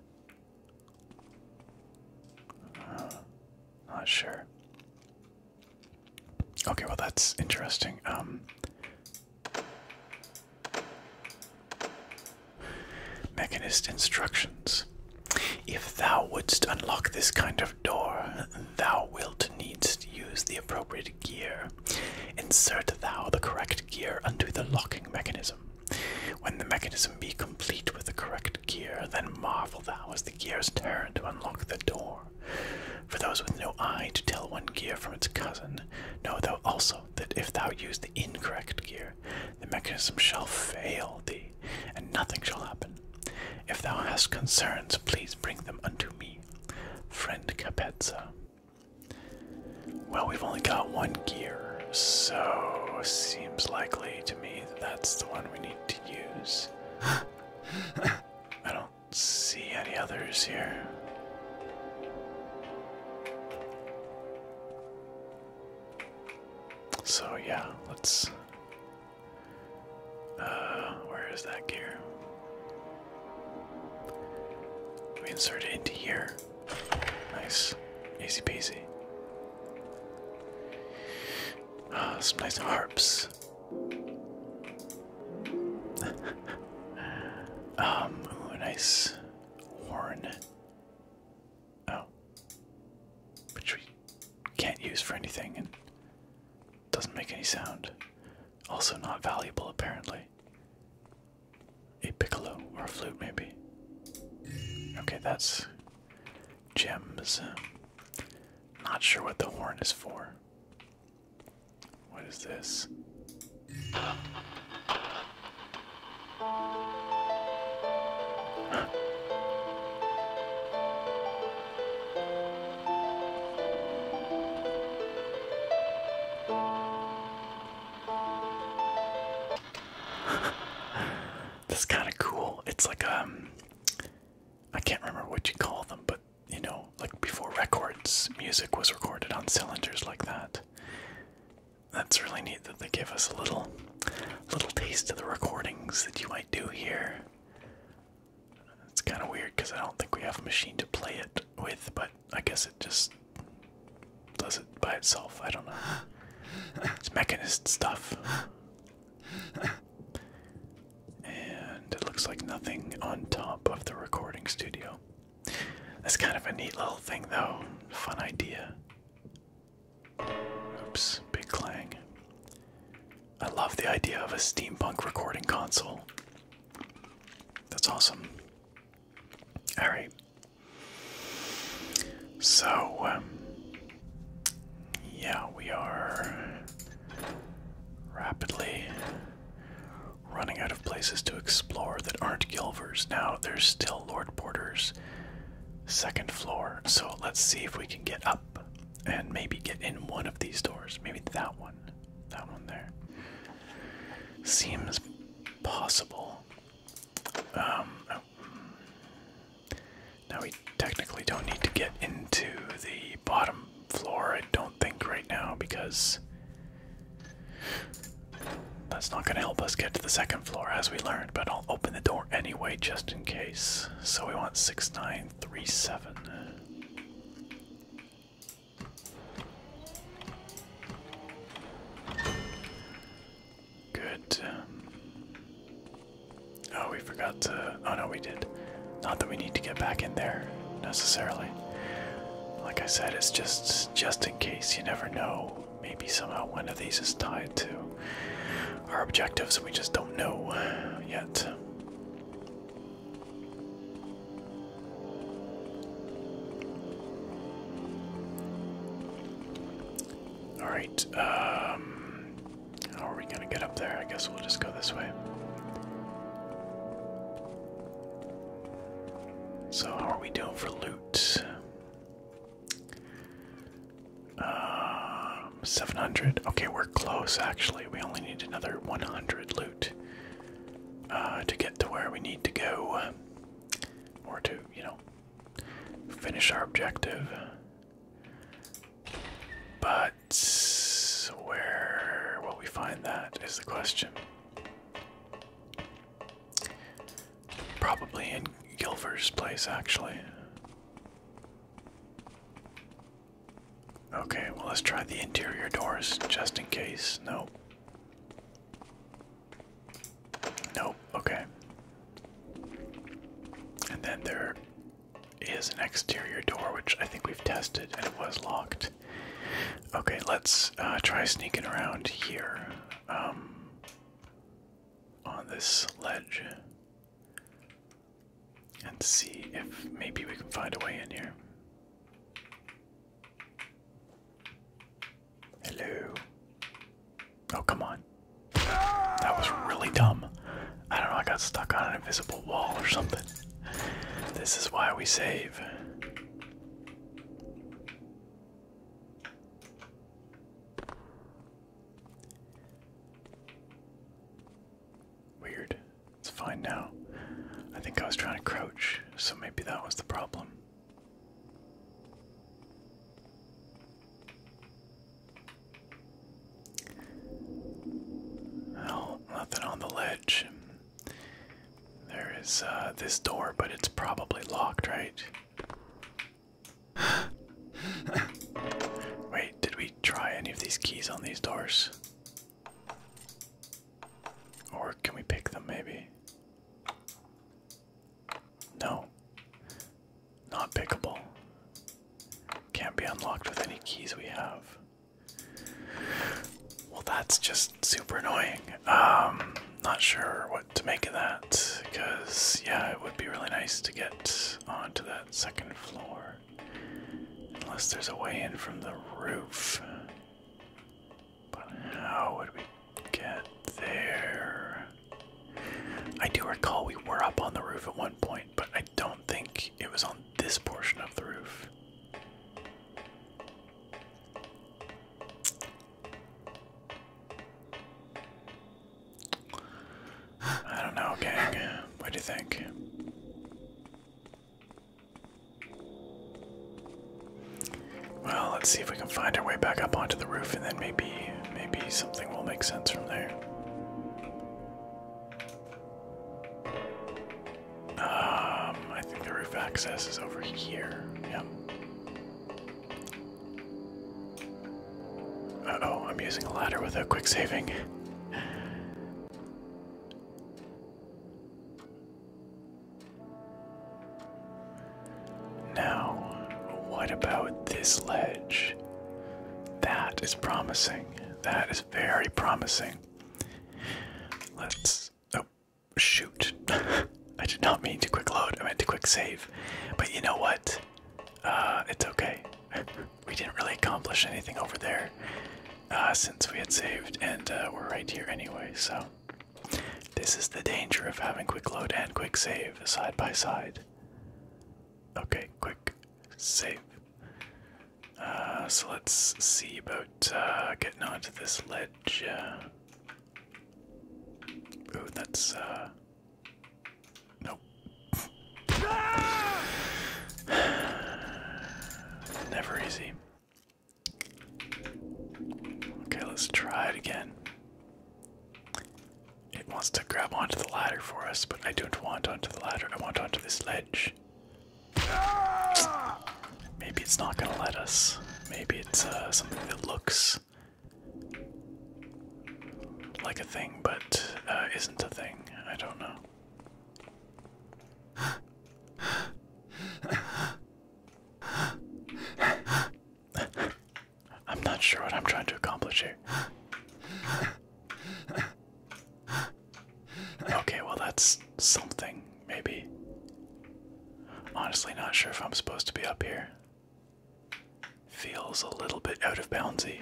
Uh, not sure. Okay, well that's interesting. Um, mechanist instructions. If thou wouldst unlock this kind of door, thou wilt needs use the appropriate gear. Insert thou the correct gear unto the locking mechanism. When the mechanism be complete with the correct gear, then marvel thou as the gears turn to unlock the door. For those with no eye to tell one gear from its cousin, know thou also that if thou use the incorrect gear, the mechanism shall fail thee, and nothing shall happen. If thou hast concerns, please bring them unto me. Friend Capezza. Well, we've only got one gear, so seems likely to me that that's the one we need to use. (laughs) I don't see any others here. So yeah, let's uh, where is that gear? We insert it into here. Nice. Easy peasy. Ah, some nice harps. (laughs) um, nice horn. Oh. Which we can't use for anything and doesn't make any sound. Also, not valuable apparently a piccolo or a flute, maybe. Okay, that's gems. Not sure what the horn is for. What is this? (laughs) this is kind of cool. It's like um, I can't remember what you call them, but you know, like before records, music was recorded on cylinders like that. That's really neat that they give us a little, little taste of the recordings that you might do here. It's kind of weird because I don't think we have a machine to play it with, but I guess it just does it by itself. I don't know. It's mechanist stuff. And it looks like nothing on top of the recording studio. That's kind of a neat little thing, though. Fun idea. Oops, big clang. I love the idea of a steampunk recording console. That's awesome. Alright, so, um, yeah, we are rapidly running out of places to explore that aren't Gilvers. Now, there's still Lord Porter's second floor, so let's see if we can get up and maybe get in one of these doors. Maybe that one. That one there. Seems possible. Um, oh, now we technically don't need to get into the bottom floor, I don't think, right now, because that's not going to help us get to the second floor, as we learned, but I'll open the door anyway, just in case. So we want 6937. Good. Um, oh, we forgot to. Oh no, we did. Not that we need to get back in there necessarily. Like I said, it's just just in case. You never know. Maybe somehow one of these is tied to our objectives, and we just don't know yet. Alright, um, how are we gonna get up there? I guess we'll just go this way. So, how are we doing for loot? Um, 700. Okay, we're close actually. We only need another 100 loot uh, to get to where we need to go. Or to, you know, finish our objective. But where will we find that is the question. Probably in Gilver's place, actually. Okay, well, let's try the interior doors just in case. Nope. Nope, okay. And then there is an exterior door, which I think we've tested and it was locked. Okay, let's uh, try sneaking around here um, on this ledge and see if maybe we can find a way in here. Hello. Oh, come on. That was really dumb. I don't know, I got stuck on an invisible wall or something. This is why we save. Weird. It's fine now. I think I was trying to crouch, so maybe that was the problem. No, nothing on the ledge. There is uh, this door, but it's probably locked, right? (sighs) Wait, did we try any of these keys on these doors? Or can we pick them maybe? No. Not pickable. Can't be unlocked with any keys we have. Well, that's just super annoying. Um, not sure what to make of that, because, yeah, it would be really nice to get onto that second floor. Unless there's a way in from the roof. But how would we get there. I do recall we were up on the roof at one point, but I don't think it was on this portion of the roof. I don't know, gang. What do you think? Well, let's see if we can find our way back up onto the roof, and then maybe, maybe something will make sense from there. Um, I think the roof access is over here. Yep. Uh oh, I'm using a ladder without quick saving. Now, what about this ledge? That is promising. That is very promising. Let's. Oh, shoot. (laughs) I did not mean to quick load, I meant to quick save. But you know what? Uh, it's okay. (laughs) we didn't really accomplish anything over there uh, since we had saved, and uh, we're right here anyway, so this is the danger of having quick load and quick save side by side. Okay, quick save. Uh, so let's see about uh, getting onto this ledge. Uh, oh, that's. Uh, nope. (sighs) Never easy. Okay, let's try it again. It wants to grab onto the ladder for us, but I don't want onto the ladder. I want onto this ledge. Maybe it's not gonna let us. Maybe it's uh, something that looks like a thing, but uh, isn't a thing. I don't know. I'm not sure what I'm trying to accomplish here. Okay, well, that's something, maybe. Honestly, not sure if I'm supposed to be up here. Feels a little bit out of boundsy.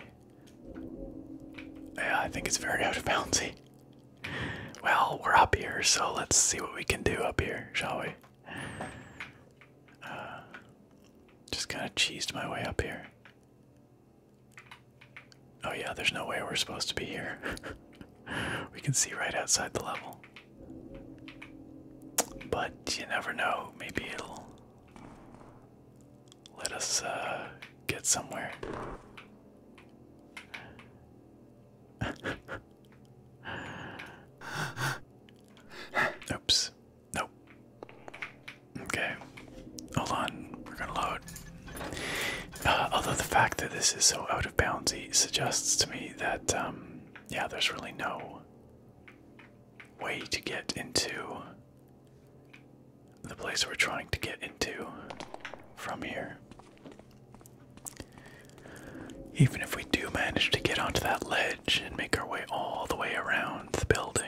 Yeah, I think it's very (laughs) out of boundsy. Well, we're up here, so let's see what we can do up here, shall we? Uh, just kind of cheesed my way up here. Oh, yeah, there's no way we're supposed to be here. (laughs) we can see right outside the level. But you never know, maybe it'll let us uh, get somewhere. (laughs) Oops. Nope. Okay. Hold on. We're gonna load. Uh, although the fact that this is so out of boundsy suggests to me that, um, yeah, there's really no way to get into the place we're trying to get into from here. Even if we do manage to get onto that ledge, and make our way all the way around the building.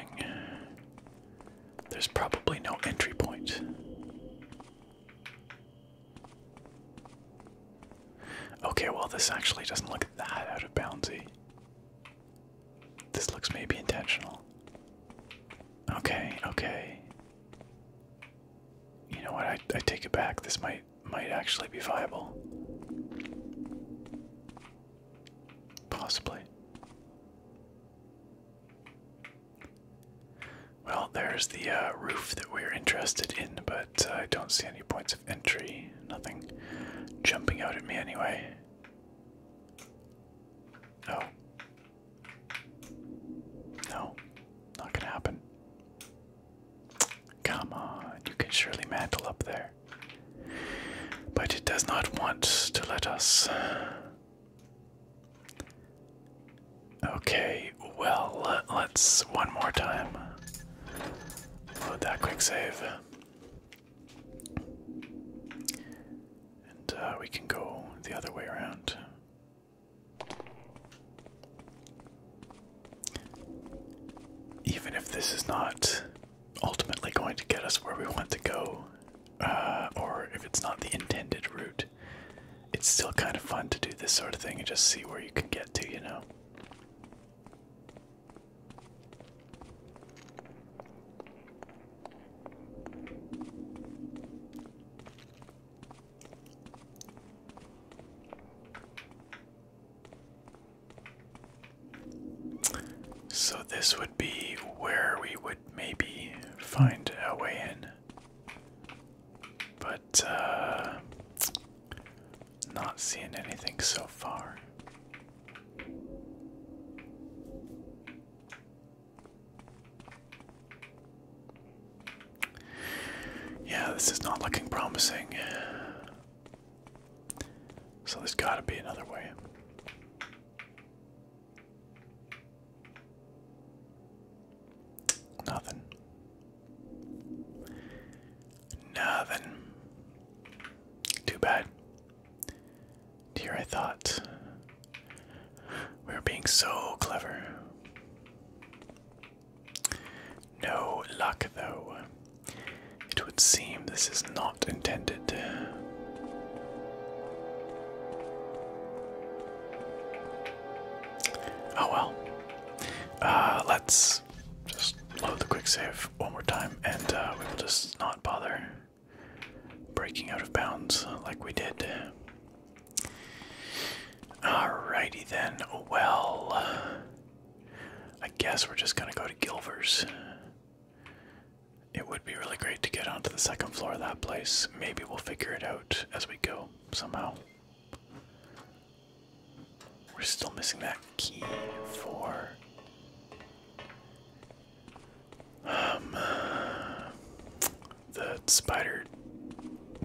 There's probably no entry point. Okay, well, this actually doesn't look that out of boundsy. This looks maybe intentional. Okay, okay. You know what? I take it back. This might might actually be viable. Possibly. Well, there's the uh, roof that we're interested in, but uh, I don't see any points of entry. Nothing jumping out at me anyway. No. No. Not gonna happen. Come on, you can surely mantle up there. But it does not want to let us. Okay, well, let's one more time load that quick save. And uh, we can go the other way around even if this is not ultimately going to get us where we want to go, uh, or if it's not the intended route, it's still kind of fun to do this sort of thing and just see where you can get to, you know? So this would be where we would maybe find a way in. But uh not seeing anything so far. Yeah, this is not looking promising. So there's gotta be another way. Nothing. Nothing. Too bad. Dear, I thought we were being so clever. No luck, though. It would seem this is not intended. Oh well. Uh, let's just load the quick save one more time and uh, we will just not bother breaking out of bounds like we did. Alrighty then, well, I guess we're just gonna go to Gilvers. It would be really great to get onto the second floor of that place. Maybe we'll figure it out as we go somehow. We're still missing that key for. Um, the spider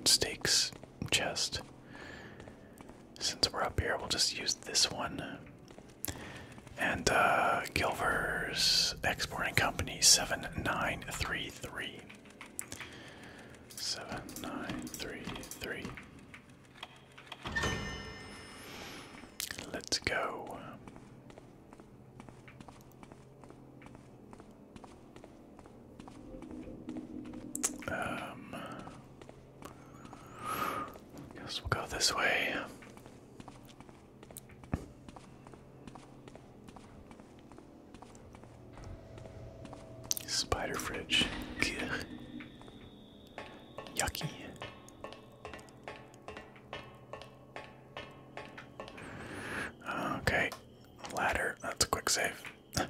stakes chest. Since we're up here, we'll just use this one. And uh, Gilvers Exporting Company 7933. Let's go. Um, Guess we'll go this way. Spider fridge. (laughs) Yucky. Okay, ladder. That's a quick save. (laughs)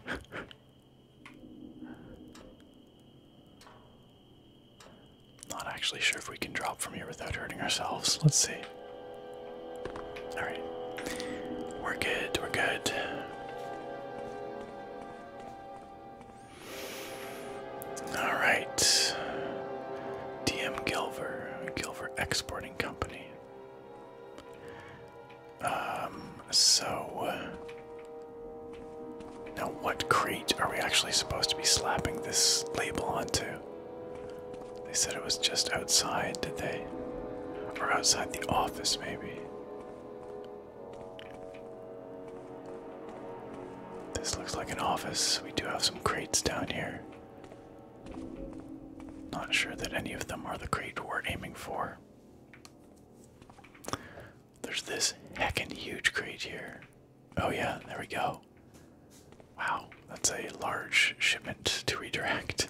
Not actually sure if we can drop from here without hurting ourselves. Let's see. Alright. We're good, we're good. Alright. DM Gilver, Gilver Exporting Company. Um, so. Now, what crate are we actually supposed to be slapping this label onto? They said it was just outside, did they? Or outside the office, maybe? This looks like an office. We do have some crates down here. Not sure that any of them are the crate we're aiming for. There's this heckin' huge crate here. Oh yeah, there we go. Wow, that's a large shipment to redirect.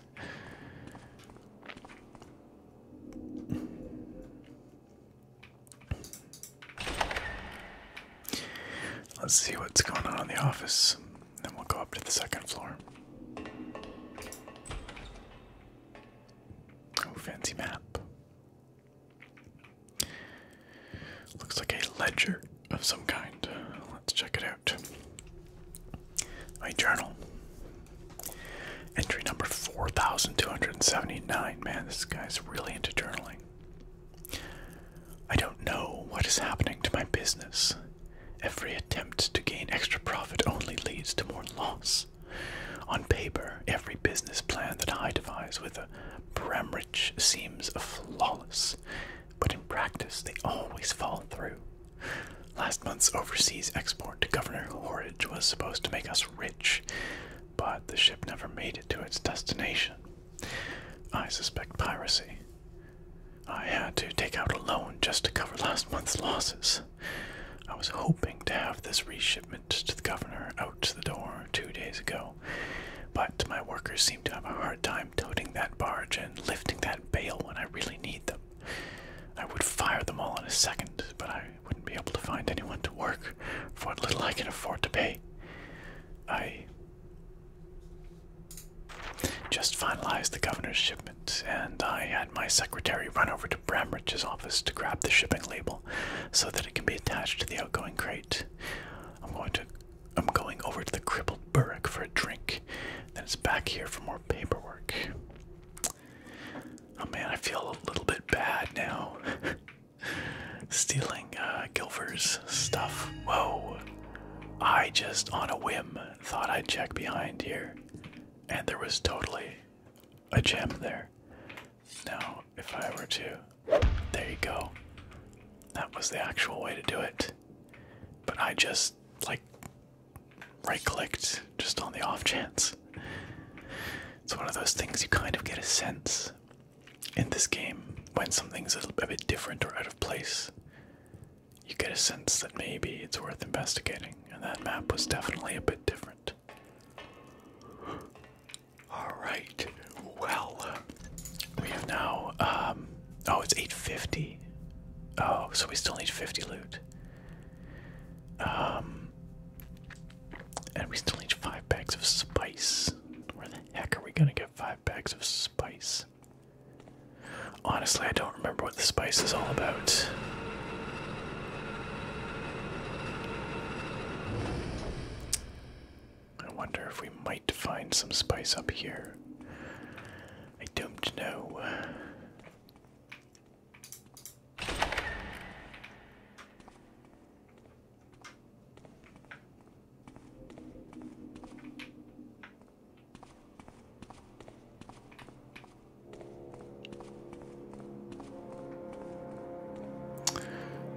Let's see what's going on in the office, then we'll go up to the second floor. Oh, fancy map. Looks like a ledger of some kind. Let's check it out. My journal. Entry number 4279. Man, this guy's really into journaling. I don't know what is happening to my business. Every attempt to gain extra profit only leads to more loss. On paper, every business plan that I devise with a Bramrich seems flawless, but in practice they always fall through. Last month's overseas export to Governor Horridge was supposed to make us rich, but the ship never made it to its destination. I suspect piracy. I had to take out a loan just to cover last month's losses. I was hoping to have this reshipment to the governor out to the door two days ago, but my workers seem to have a hard time toting that barge and lifting that bale when I really need them. I would fire them all in a second, but I wouldn't be able to find anyone to work for what little I can afford to pay. I just finalized the governor's shipment, and I had my secretary run over to Bramridge's office to grab the shipping label so that it can be attached to the outgoing crate. I'm going to I'm going over to the crippled burrak for a drink. Then it's back here for more paperwork. Oh man, I feel a little bit bad now. (laughs) Stealing uh, stuff. Whoa. I just, on a whim, thought I'd check behind here. And there was totally a gem there. Now, if I were to. There you go. That was the actual way to do it. But I just, like, right clicked just on the off chance. It's one of those things you kind of get a sense in this game when something's a bit different or out of place. You get a sense that maybe it's worth investigating, and that map was definitely a bit different. All right. Well, we have now. Um, oh, it's eight fifty. Oh, so we still need fifty loot. Um, and we still need five bags of spice. Where the heck are we gonna get five bags of spice? Honestly, I don't remember what the spice is all about. I wonder if we might find some spice up here. I don't know.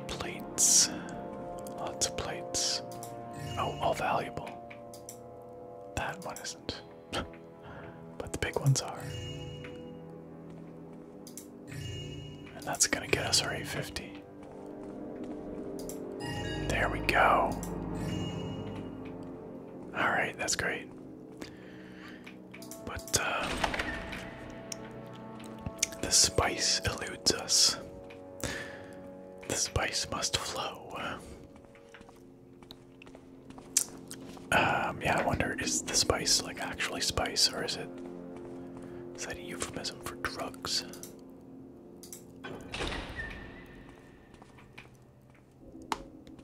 Plates. Lots of plates. Oh, all valuable. That one isn't. (laughs) but the big ones are. And that's gonna get us our 850. There we go. Alright, that's great. But uh, the spice eludes us. The spice must flow. Um, yeah, I wonder is the spice like actually spice or is it is that a euphemism for drugs?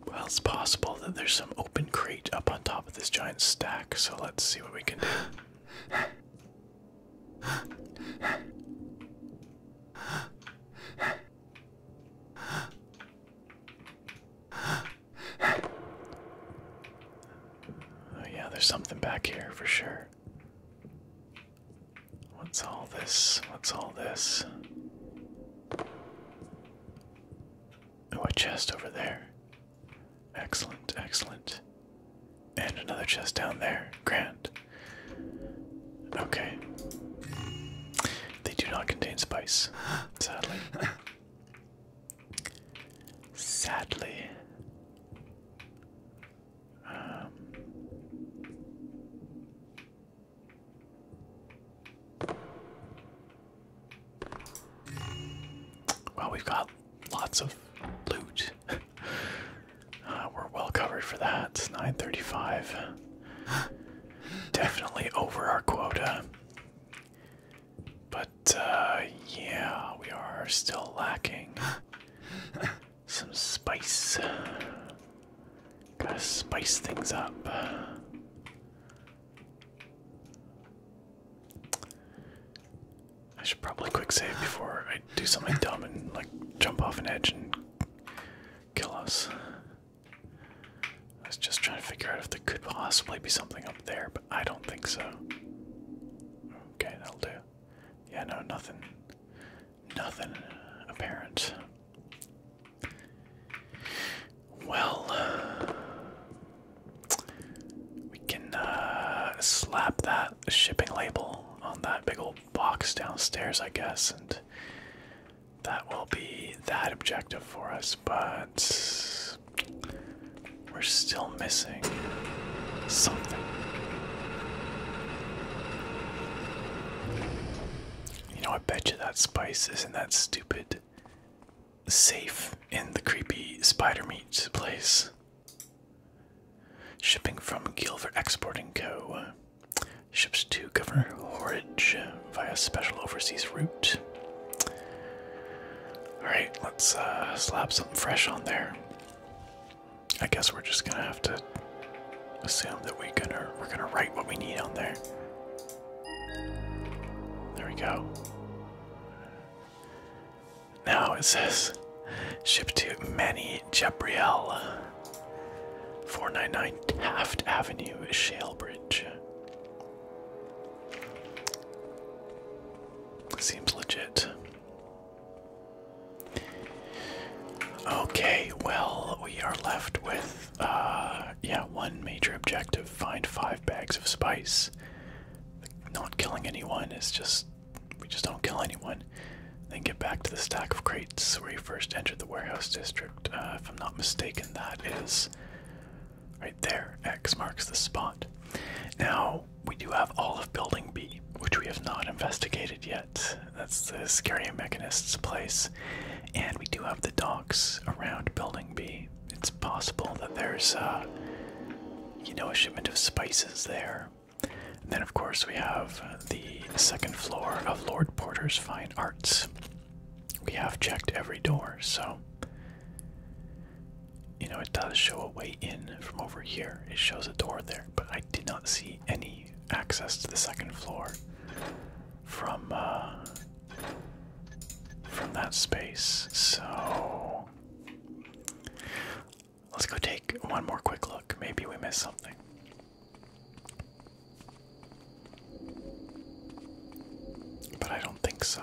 Well, it's possible that there's some open crate up on top with this giant stack, so let's see what we can do. Oh, yeah, there's something back here for sure. What's all this? What's all this? Oh, a chest over there. Excellent, excellent. And another chest down there. Grand. Okay. They do not contain spice, sadly. Sadly. Um, well, we've got lots of loot. (laughs) Uh, we're well covered for that. It's 935. Definitely over our quota. But, uh, yeah, we are still lacking some spice. Gotta spice things up. I should probably quick save before I do something dumb and like jump off an edge and kill us. I was just trying to figure out if there could possibly be something up there, but I don't think so. Okay, that'll do. Yeah, no, nothing. Nothing apparent. Well, we can uh, slap that shipping label on that big old box downstairs, I guess, and that will be that objective for us, but we're still missing something. You know, I bet you that spice isn't that stupid safe in the creepy spider meat place. Shipping from Gilver Exporting Co. Ships to Governor Horridge via special overseas route. Alright, let's uh, slap something fresh on there. I guess we're just gonna have to assume that we're gonna we're gonna write what we need on there. There we go. Now it says ship to Manny Jabriel, 499 Taft Avenue, Shalebridge. Seems legit. Okay, well, we are left with, uh, yeah, one major objective find five bags of spice not killing anyone is just we just don't kill anyone. Then get back to the stack of crates where you first entered the warehouse district. Uh, if I'm not mistaken, that is right there. X marks the spot. Now we do have all of Building B, which we have not investigated yet. That's the Scary Mechanist's place, and we do have the docks around Building B. It's possible that there's, uh, you know, a shipment of spices there. then, of course, we have the second floor of Lord Porter's Fine Arts. We have checked every door, so. You know, it does show a way in from over here. It shows a door there, but I did not see any access to the second floor from uh, from that space. So Let's go take one more quick look. Maybe we missed something. But I don't think so.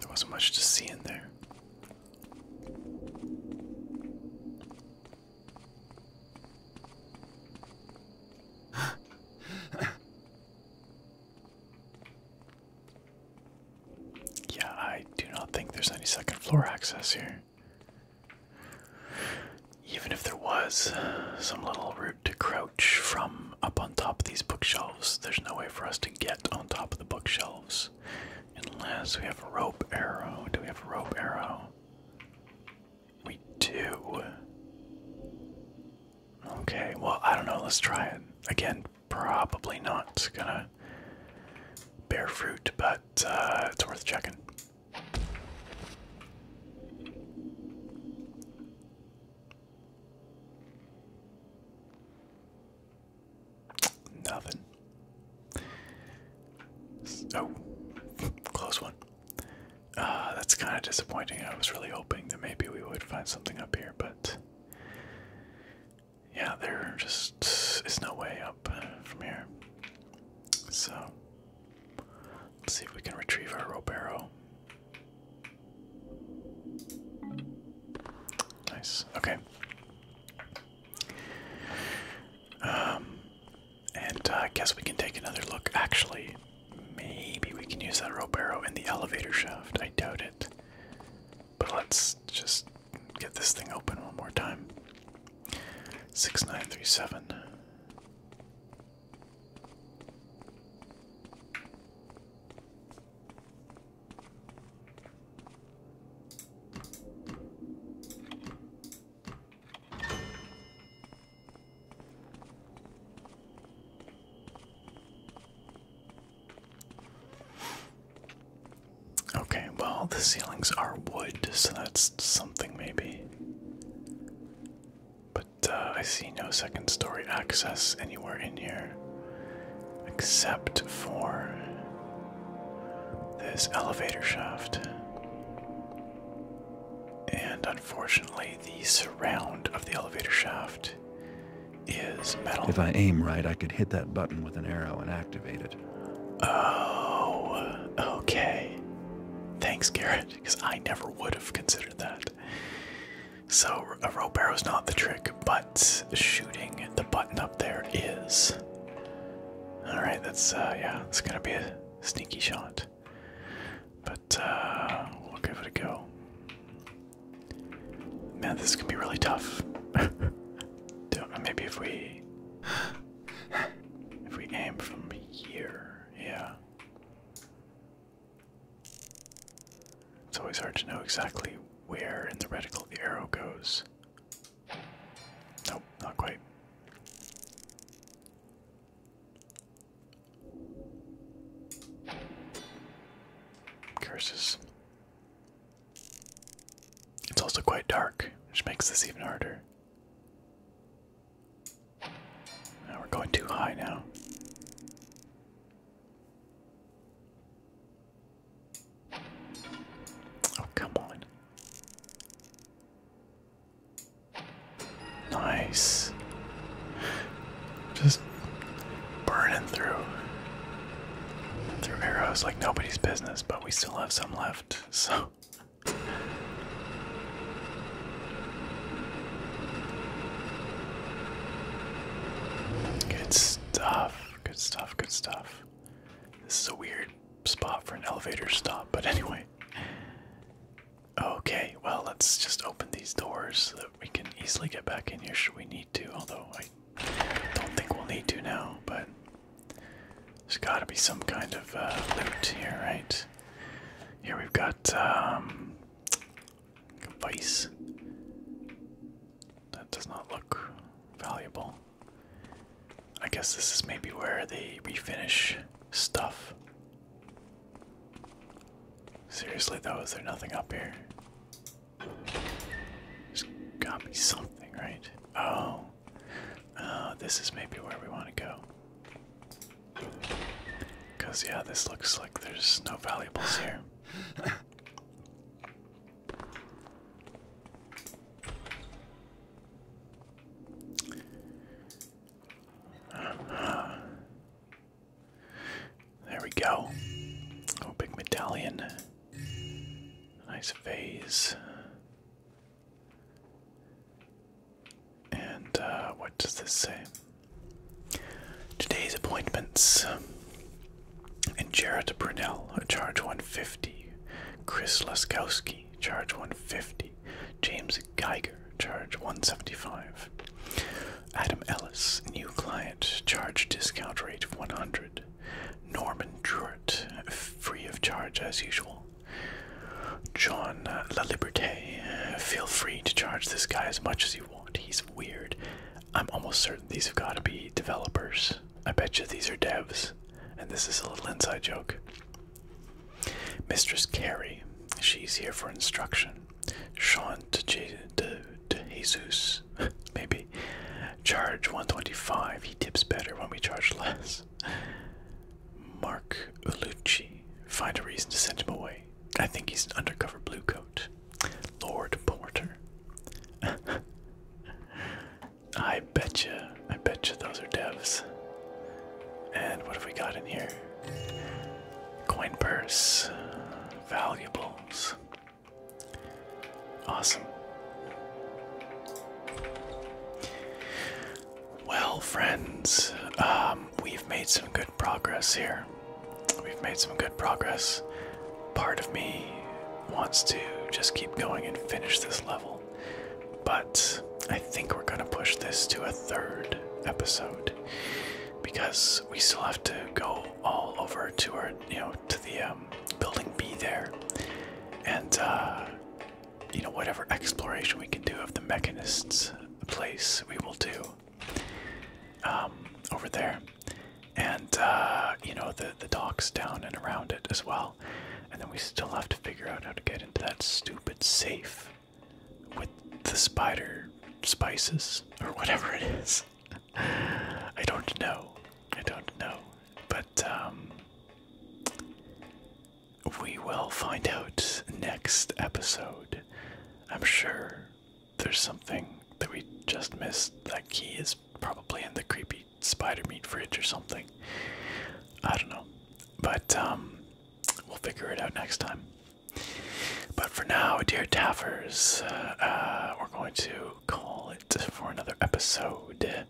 There wasn't much to see in there. (laughs) Yeah, I do not think there's any second floor access here. Even if there was some little route to crouch from up on top of these bookshelves, there's no way for us to get on top of the bookshelves unless we have a rope arrow. Do we have a rope arrow? We do. Okay, well, I don't know. Let's try it. Again, probably not gonna bear fruit, but uh, it's worth checking. Nothing. Oh, (laughs) close one. Uh, that's kind of disappointing. I was really hoping that maybe we would find something up here, but yeah, there just is no way up uh, from here. So let's see if we can retrieve our rope arrow. Nice. Okay. Um, and uh, I guess we can take another look. Actually, maybe we can use that rope arrow in the elevator shaft. I doubt it. But let's just get this thing open one more time. 6937. Okay, well, the ceilings are wood, so that's something maybe. But uh, I see no second story access anywhere in here except for this elevator shaft. And unfortunately, the surround of the elevator shaft if I aim right, I could hit that button with an arrow and activate it. Oh, okay. Thanks, Garrett, because I never would have considered that. So, a rope is not the trick, but shooting the button up there is. Alright, that's, uh, yeah, it's gonna be a sneaky shot. But, uh, we'll give it a go. Man, this can be really tough. (laughs) Maybe if we if we aim from here, yeah. It's always hard to know exactly where in the reticle the arrow goes. Nope, not quite. Curses. It's also quite dark, which makes this even harder. Now we're going too high now. Oh, come on. Nice. Just burning through through arrows like nobody's business, but we still have some left, (laughs) so Good stuff, good stuff, good stuff. This is a weird spot for an elevator stop, but anyway. Okay, well, let's just open these doors so that we can easily get back in here should we need to, although I don't think we'll need to now, but there's got to be some kind of uh, loot here, right? Here we've got a um, vice. That does not look valuable. I guess this is maybe where they refinish stuff. Seriously, though, is there nothing up here? There's gotta be something, right? Oh. Uh, this is maybe where we want to go. Because, yeah, this looks like there's no valuables here. There we go. Oh, big medallion. Nice vase. And uh, what does this say? Today's appointments. And Jarrett Brunell, charge 150. Chris Laskowski, charge 150. James Geiger, charge 175. Adam Ellis, new client, charge discount rate of 100. Norman Druitt, free of charge as usual. John La Liberté, feel free to charge this guy as much as you want. He's weird. I'm almost certain these have got to be developers. I bet you these are devs, and this is a little inside joke. Mistress Carey, she's here for instruction. Sean de Jesus, (laughs) maybe charge 125, he tips better when we charge less. Mark Ulucci, find a reason to send him away. I think he's an undercover bluecoat. Lord Porter. (laughs) I bet you. I bet you. those are devs. And what have we got in here? Coin purse, valuables. Awesome. Well, friends, um, we've made some good progress here. We've made some good progress. Part of me wants to just keep going and finish this level, but I think we're going to push this to a third episode because we still have to go all over to our you know, to the um, building B there, and uh, you know, whatever exploration we can do of the mechanist's place, we will do um, over there, and uh, you know, the the docks down and around it as well, and then we still have to figure out how to get into that stupid safe with the spider spices or whatever it is. I don't know. I don't know. But um we will find out next episode. I'm sure there's something that we just missed. That key is probably in the creepy spider meat fridge or something. I don't know. But um we'll figure it out next time. But for now, dear Taffers, uh, we're going to call it for another episode.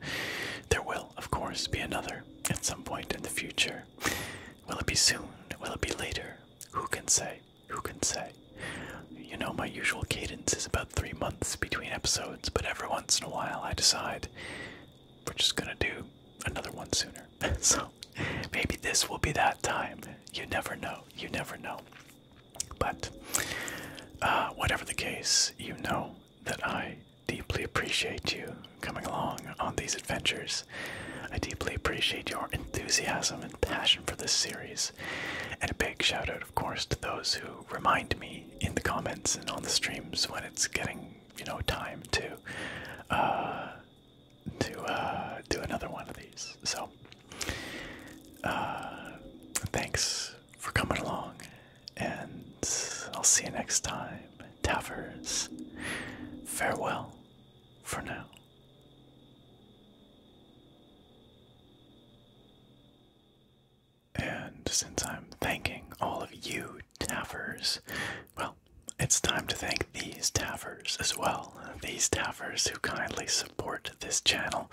There will, of course, be another at some point in the future. Will it be soon? Will it be later? Who can say? Who can say? You know, my usual cadence is about three months between episodes, but every once in a while I decide we're just gonna do another one sooner. (laughs) so maybe this will be that time. You never know. You never know. But uh, whatever the case, you know that I deeply appreciate you coming along on these adventures. I deeply appreciate your enthusiasm and passion for this series. And a big shout out, of course, to those who remind me in the comments and on the streams when it's getting, you know, time to uh, to uh, do another one of these. So uh, thanks for coming along, and I'll see you next time. Tavers, farewell for now. And since I'm thanking all of you Tavers, well, it's time to thank these Tavers as well. These Tavers who kindly support support this channel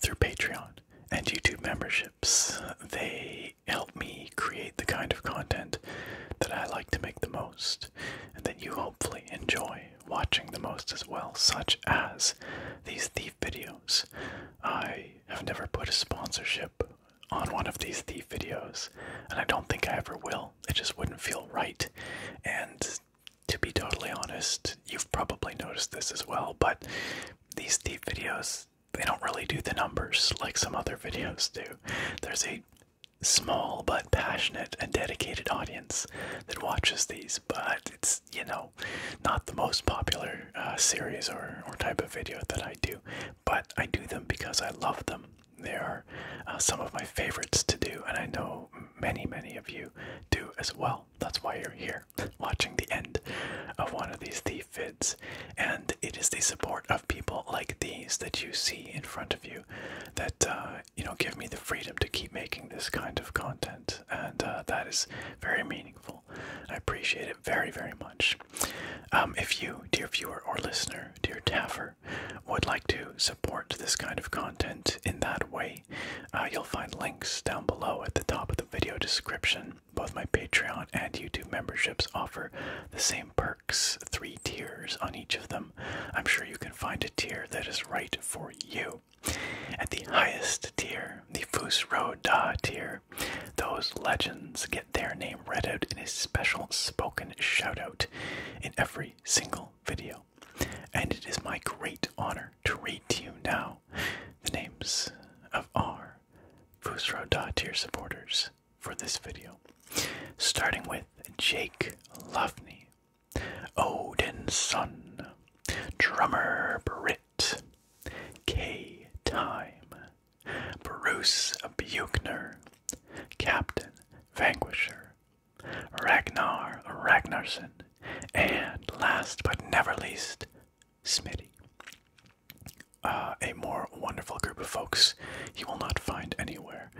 through Patreon and YouTube memberships. They help me create the kind of content that I like to make the most, and that you hopefully enjoy watching the most as well, such as these thief videos. I have never put a sponsorship on one of these thief videos, and I don't think I ever will. It just wouldn't feel right. And to be totally honest, you've probably noticed this as well, but these deep videos, they don't really do the numbers like some other videos do. There's a small but passionate and dedicated audience that watches these, but it's, you know, not the most popular uh, series or, or type of video that I do. But I do them because I love them. They are uh, some of my favorites to do, and I know many, many of you do as well that's why you're here (laughs) watching the end of one of these thief vids. And it is the support of people like these that you see in front of you that, uh, you know, give me the freedom to keep making this kind of content. And uh, that is very meaningful. I appreciate it very, very much. Um, if you, dear viewer or listener, dear Taffer, would like to support this kind of content in that way, uh, you'll find links down below at the top of the video description. Both my Patreon and YouTube memberships offer the same perks, three tiers on each of them. I'm sure you can find a tier that is right for you. At the highest tier, the Fus Ro Da tier, those legends get their name read out in a special spoken shout out in every single video. And it is my great honor to read to you now the names of our Fusro Da tier supporters for this video, starting with Jake Lovney, Odin Son, Drummer Britt, K Time, Bruce Buchner, Captain Vanquisher, Ragnar Ragnarsson, and last but never least, Smitty. Uh, a more wonderful group of folks you will not find anywhere.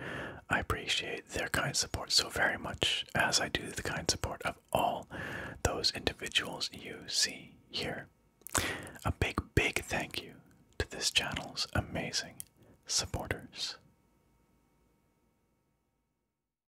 I appreciate their kind support so very much, as I do the kind support of all those individuals you see here. A big, big thank you to this channel's amazing supporters.